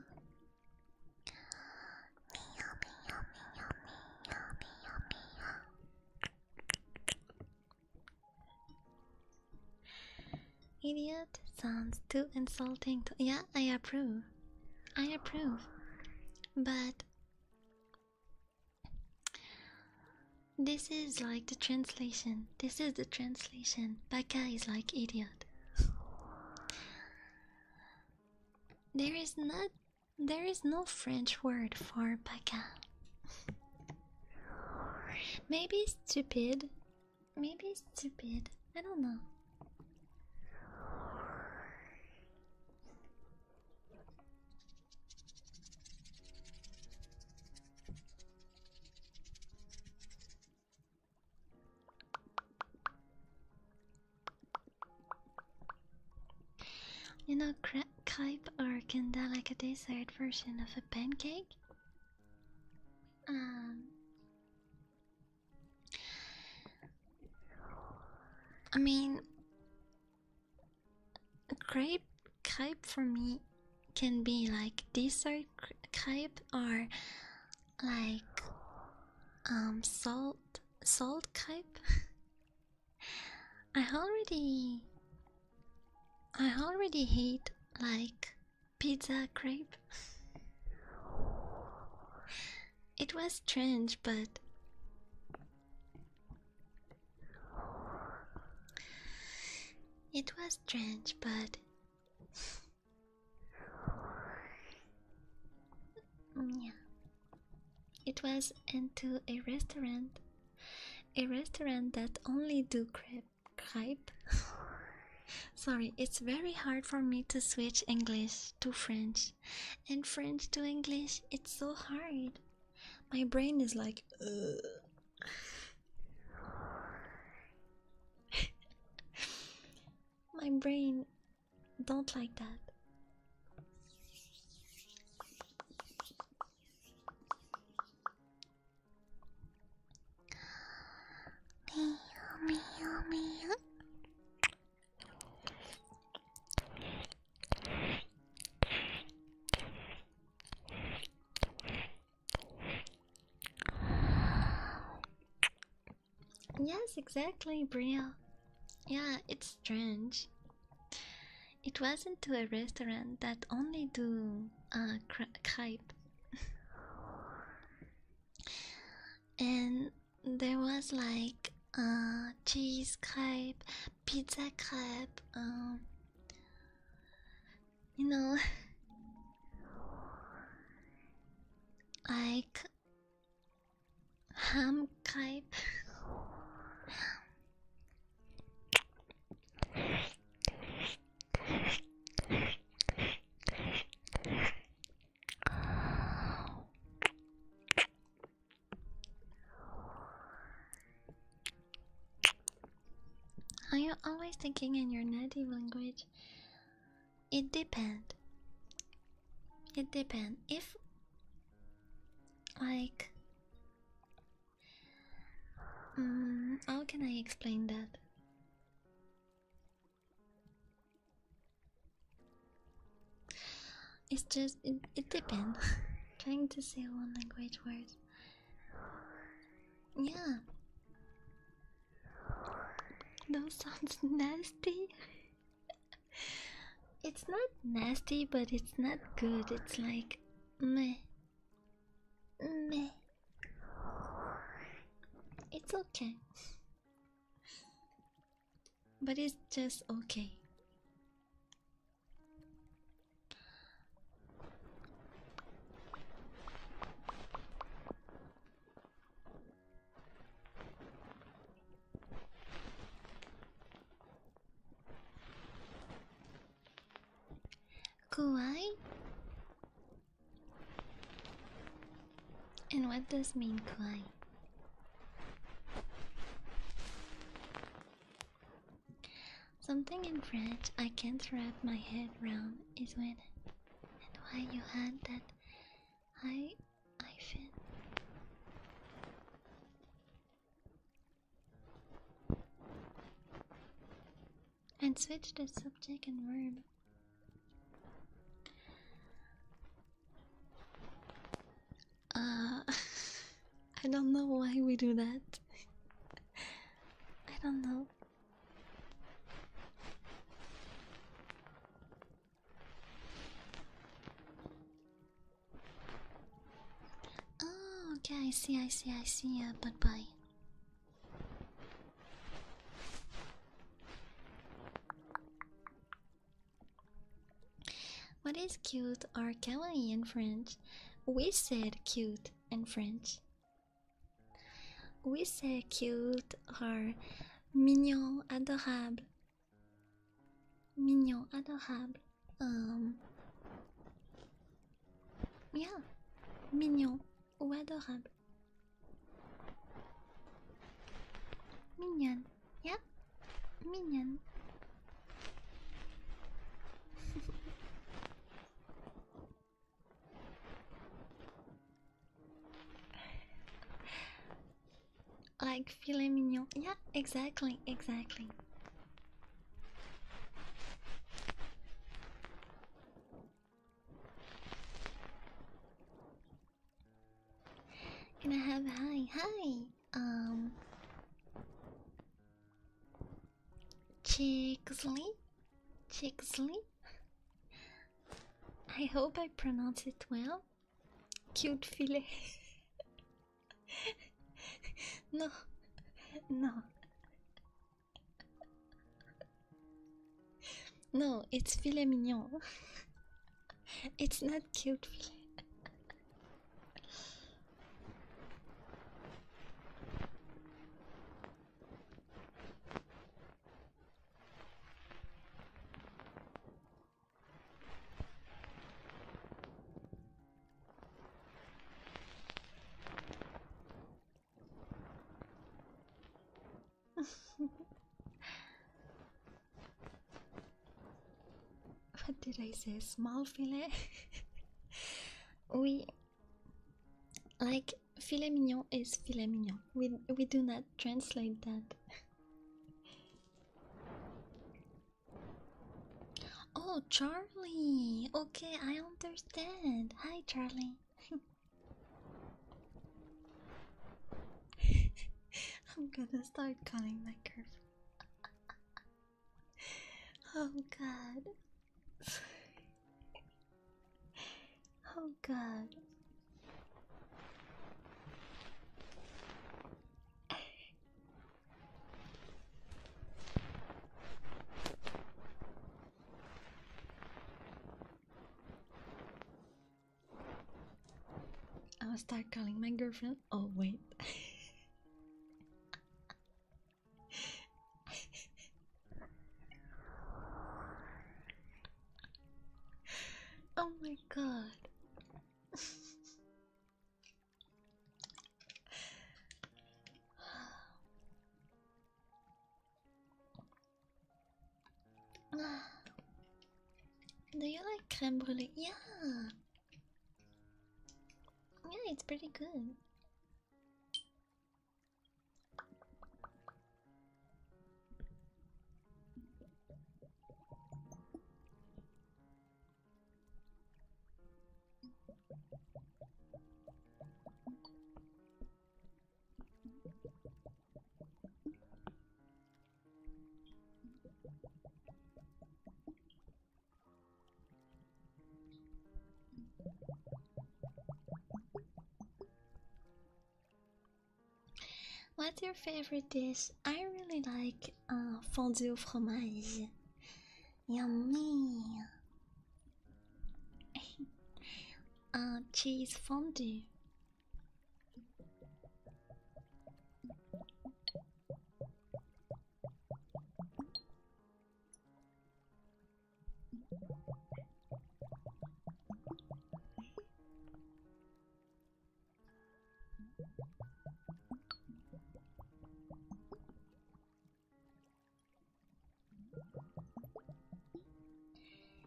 Idiot sounds too insulting to. Yeah, I approve. I approve. But. This is like the translation. This is the translation. Baka is like idiot. There is not there is no French word for baka. Maybe stupid. Maybe stupid. I don't know. You know, crepe or kind like a dessert version of pancake? Um, I mean, a crepe, crepe for me can be like dessert crepe or like um salt salt crepe. *laughs* I already I already hate like pizza crepe. *laughs* It was strange, but it was strange, but *laughs* mm, yeah, it was into a restaurant a restaurant that only do crepe. *laughs* Sorry, it's very hard for me to switch English to French, and French to English. It's so hard. My brain is like. *laughs* My brain don't like that. Me, me, me. Yes, exactly, Bria. Yeah, it's strange. It wasn't to a restaurant that only do uh crepe. *laughs* and there was like uh cheese crepe, pizza crepe, um, you know *laughs* like ham crepe *laughs* Are you always thinking in your native language? It depends. It depends. If, like, um, how can I explain that? It's just it, depends. *laughs* Trying to say one language word. Yeah. That sounds *laughs* nasty. it's not nasty, but it's not good. It's like meh. Meh. It's okay. But it's just okay. Kawaii? And what does mean kawaii? Something in French I can't wrap my head round is when and why you had that high hyphen. And switch the subject and verb. Uh, *laughs* I don't know why we do that. *laughs* I don't know. Oh, okay, I see, I see, I see. Uh, bye bye. What is cute or kawaii in French? We said cute in French. We say cute or mignon, adorable. Mignon, adorable. Um, Yeah, mignon ou adorable. Mignonne, yeah, mignonne. *laughs* like filet mignon, yeah, exactly, exactly. Can I have hi hi um Chixley? Chixley? I hope I pronounce it well. Cute filet. *laughs* no, no no, it's filet mignon. it's not cute filet what did I say? Small filet? we *laughs* like filet mignon is filet mignon. We we do not translate that. *laughs* oh Charlie! Okay, I understand understand. Hi, Charlie. *laughs* I'm gonna start calling my girlfriend. *laughs* oh god. *laughs* oh god. I'll start calling my girlfriend. Oh, wait. oh, my God. *sighs* Do you like creme brulee? Yeah. Yeah, it's pretty good. What's your favorite dish? I really like uh, fondue au fromage. Yummy! uh, cheese fondue.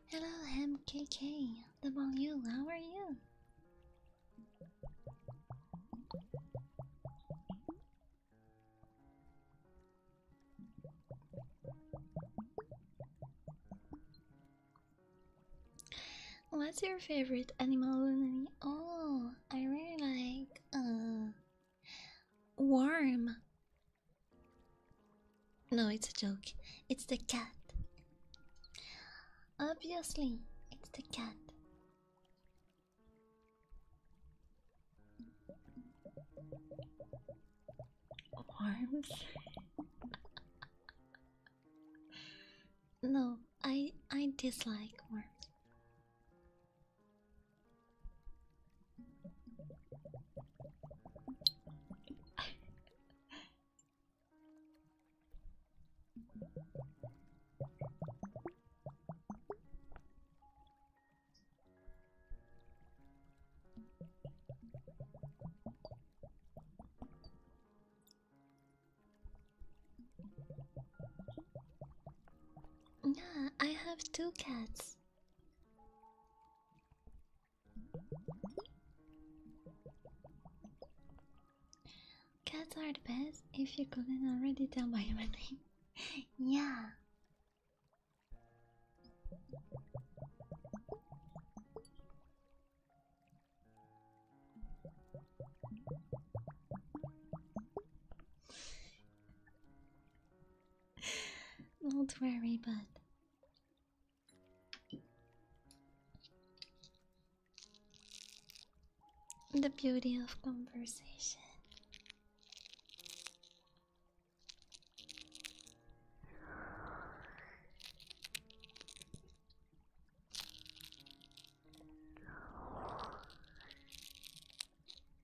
Hello, MKK. The you. How are you? What's your favorite animal, Lunani? Oh, I really like uh Warm. No, it's a joke. It's the cat. Obviously, it's the cat. Worms. no, I I dislike worms. Yeah, I have two cats. Cats are the best if you couldn't already tell by my name. *laughs* yeah. *laughs* Don't worry, but The beauty of conversation.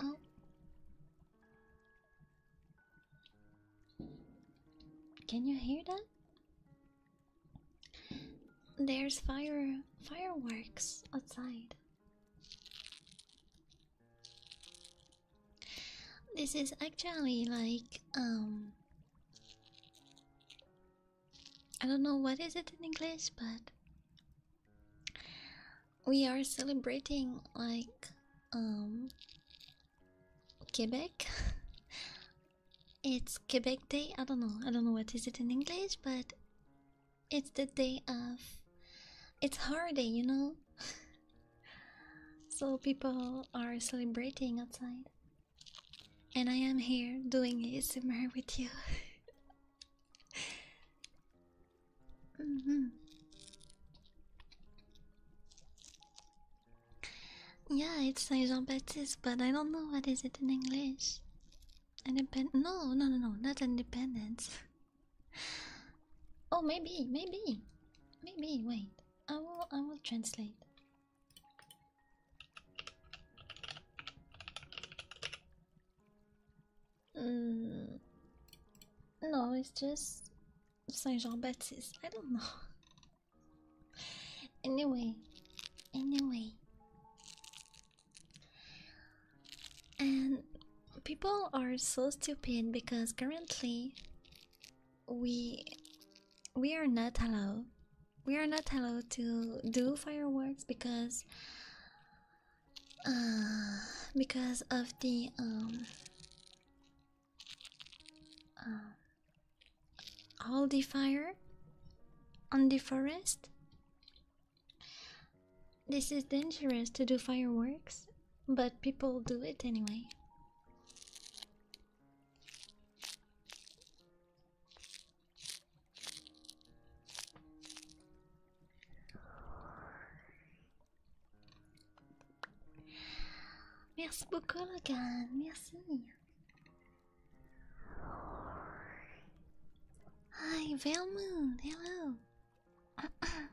Oh. Can you hear that? There's fire fireworks outside. This is actually like um I don't know what is it in English, but we are celebrating like um Quebec. *laughs* it's Quebec Day. I don't know. I don't know what is it in English, but it's the day of it's holiday, you know. *laughs* so people are celebrating outside. And I am here doing ASMR with you. Mm-hmm. Yeah, it's like Jean Baptiste, but I don't know what is it in English. Independ no, no, no, no, not independence. oh, maybe, maybe, maybe. Wait, I will, I will translate. Mm. No, it's just Saint Jean Baptiste. I don't know. *laughs* Anyway, anyway, and people are so stupid because currently we we are not allowed we are not allowed to do fireworks because uh, because of the um uh, all the fire on the forest this is dangerous to do fireworks but people do it anyway Muito beaucoup, Logan. Merci. Hi, Hello. *clears throat* Ah, ah.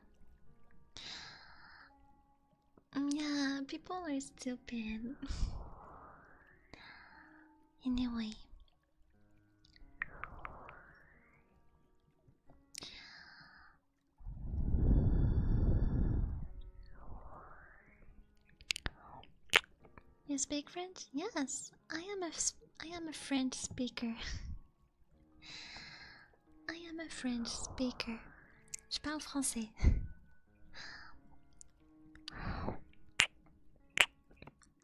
Yeah, people are stupid. *laughs* anyway. You speak French? Yes, I am a I am a French speaker. *laughs* I am a French speaker. Je parle français. *laughs*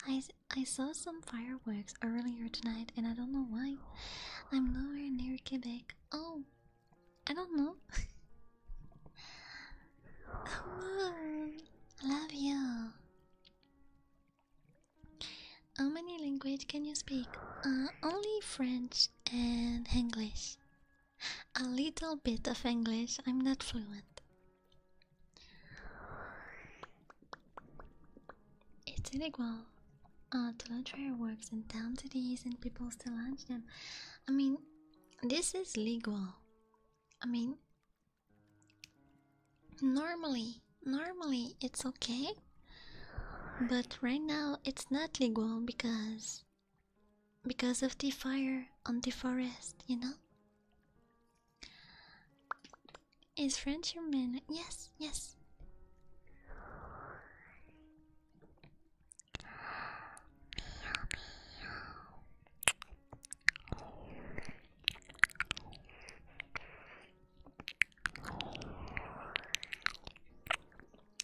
I I saw some fireworks earlier tonight, and I don't know why. I'm nowhere near Quebec. Oh, I don't know. Come *laughs* on, love you. How many language can you speak? Uh, only French and English a little bit of English. I'm not fluent. It's illegal uh, to launch fireworks in town cities and people still launch them. I mean, this is legal. I mean, normally, normally it's okay, but right now it's not legal because because of the fire on the forest, you know? Is French human? Yes, yes.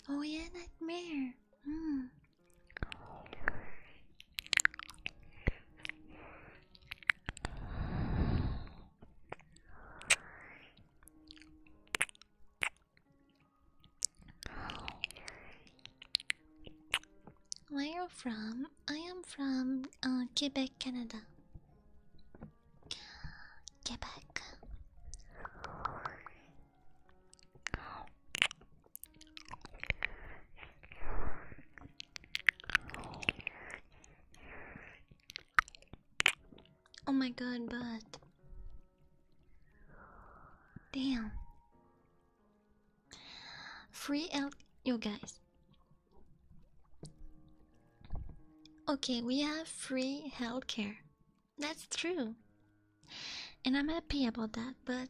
Oh yeah, nightmare. Mm. Where are you from? I am from uh, Quebec, Canada. Quebec. Oh my god, but damn. Free out you guys. Okay, we have free healthcare that's true. And I'm happy about that, but.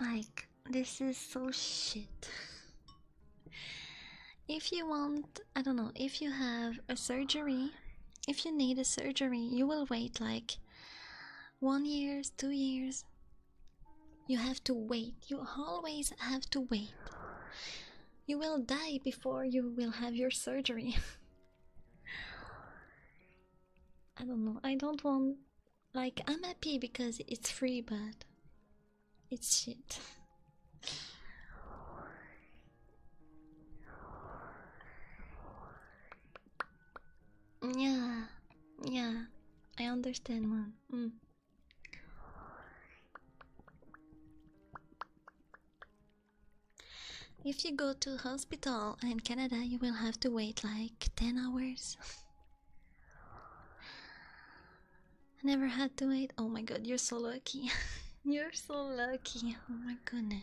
Like, this is so shit. if you want, I don't know, if you have a surgery, if you need a surgery, you will wait like one years, two years. You have to wait. You always have to wait. You will die before you will have your surgery. *laughs* *sighs* I don't know. I don't want. Like, I'm happy because it's free, but it's shit. *sighs* yeah, yeah. I understand, man. If you go to hospital in Canada, you will have to wait like 10 hours. I *laughs* never had to wait. Oh my god, you're so lucky. *laughs* you're so lucky. Oh my goodness.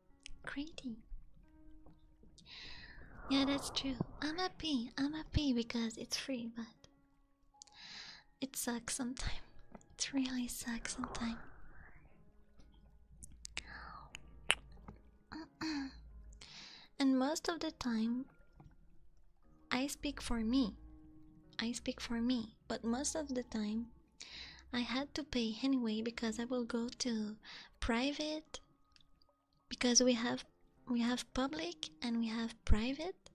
Crazy. Yeah, that's true. I'm a pee. I'm a pee because it's free, but it sucks sometimes. It really sucks sometimes. *clears throat* and most of the time, I speak for me. I speak for me, but most of the time, I had to pay anyway because I will go to private because we have we have public and we have private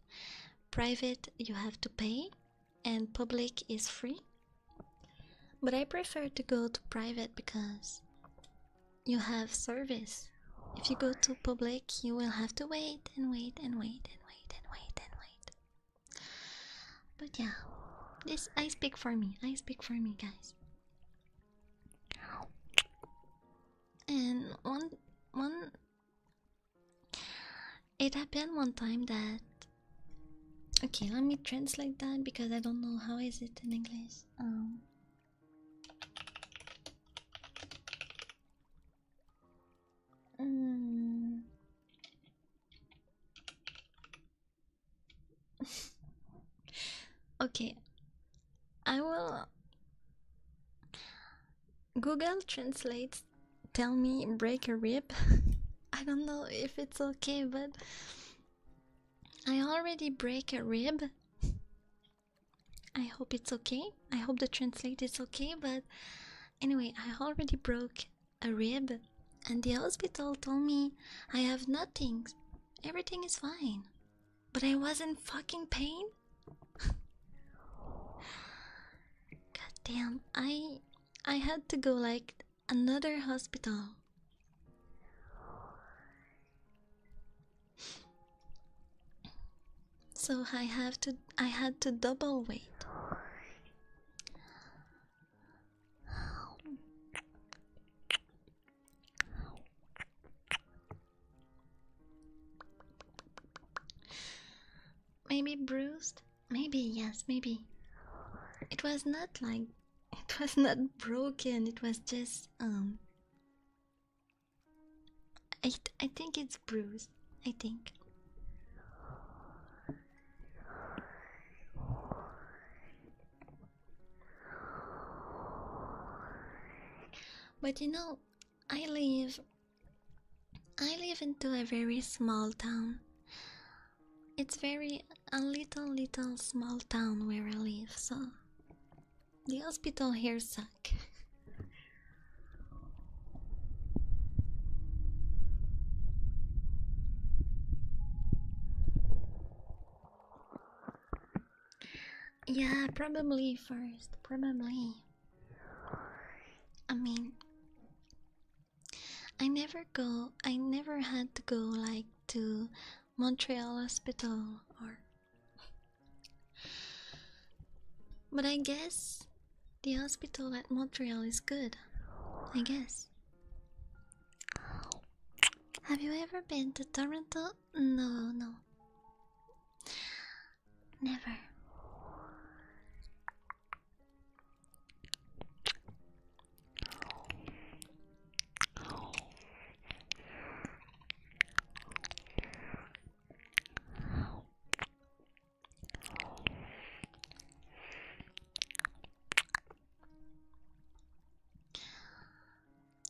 private you have to pay and public is free but i prefer to go to private because you have service if you go to public you will have to wait and wait and wait and wait and wait and wait but yeah this i speak for me i speak for me guys and one one it happened one time that okay let me translate that because I don't know how is it in English. Um mm okay, I will. Google translates tell me break a rib. *laughs* I don't know if it's okay, but I already break a rib. I hope it's okay. I hope the translate is okay, but anyway, I already broke a rib and the hospital told me I have nothing Everything is fine. But I was in fucking pain? *sighs* God damn, I I had to go like another hospital. *sighs* So I have to I had to double wait. Maybe bruised? Maybe, yes, maybe. It was not like. It was not broken, it was just. um. I, I think it's bruised, I think. But you know, I live I live into a very small town. It's very a little little small town where I live, so the hospital here suck. Yeah, probably first. Probably. I mean, I never go, I never had to go like to Montreal Hospital or. But I guess the hospital at Montreal is good. I guess. Have you ever been to Toronto? No, no. Never.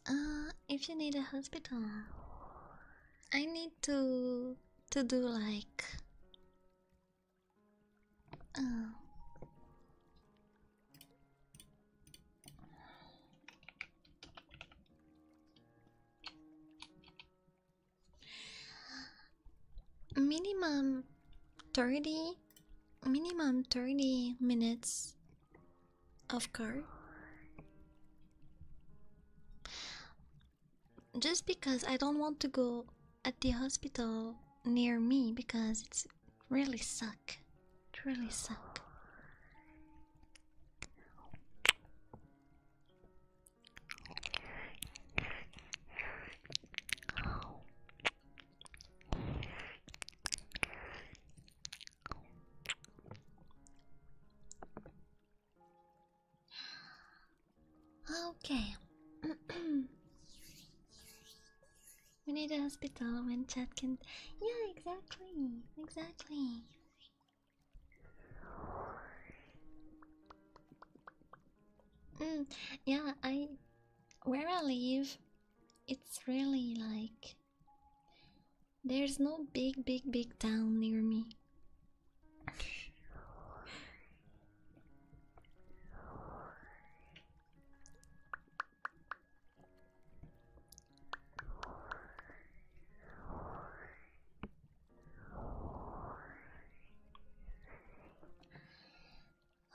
Uh, if you need a hospital, I need to to do like. Uh, minimum 30 minimum 30 minutes of course. Just because I don't want to go at the hospital near me because it's really suck. It really suck. Okay. *clears throat* we need a hospital when chat can. Yeah, exactly. Exactly. Mm, yeah, I. Where I live, it's really like there's no big, big, big town near me.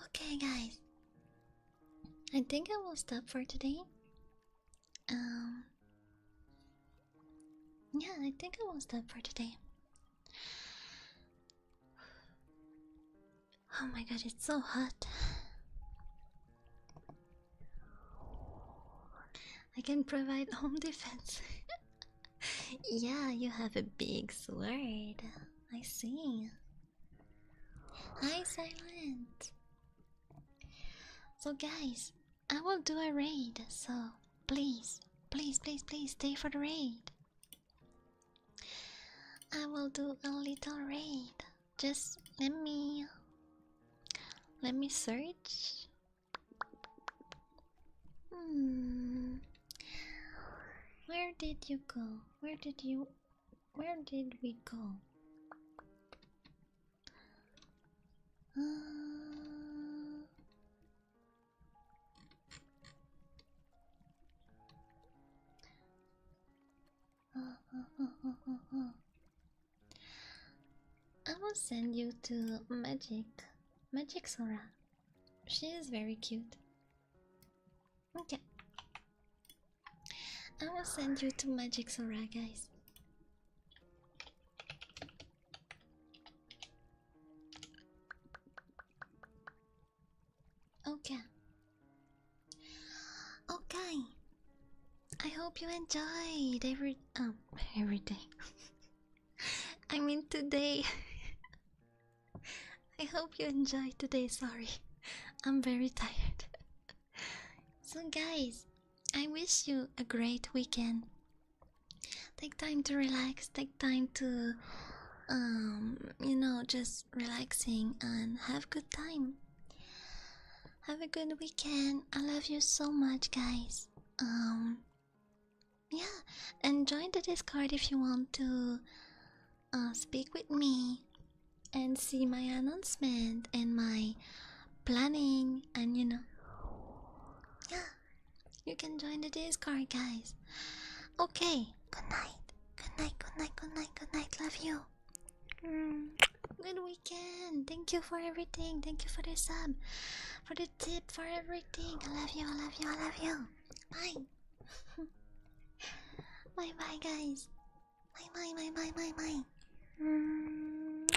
Okay, guys, I think I will stop for today. Um Yeah, I think I will stop for today. Oh my god, it's so hot. I can provide home *laughs* defense. *laughs* yeah, you have a big sword. I see. Hi, Silent! So, guys, I will do a raid, so please, please, please, please stay for the raid. I will do a little raid. Just let me. Let me search. Hmm. Where did you go? Where did you where did we go? Uh, uh, uh, uh... I will send you to Magic, Magic Sora. She is very cute. Okay. I will send you to Magic Sora, guys. Okay. Okay. I hope you enjoyed every um *laughs* every day. *laughs* I mean today. *laughs* I hope you enjoyed today. Sorry, I'm very tired so, guys, I wish you a great weekend. Take time to relax, take time to, um, you know, just relaxing and have good time. Have a good weekend. I love you so much, guys. Um, yeah, and join the Discord if you want to uh, speak with me and see my announcement and my planning and you know yeah you can join the discord guys okay good night good night good night good night good night love you mm. good weekend thank you for everything thank you for the sub for the tip for everything i love you i love you i love you bye *laughs* bye bye guys イバイバイバイバイバイうーんバイ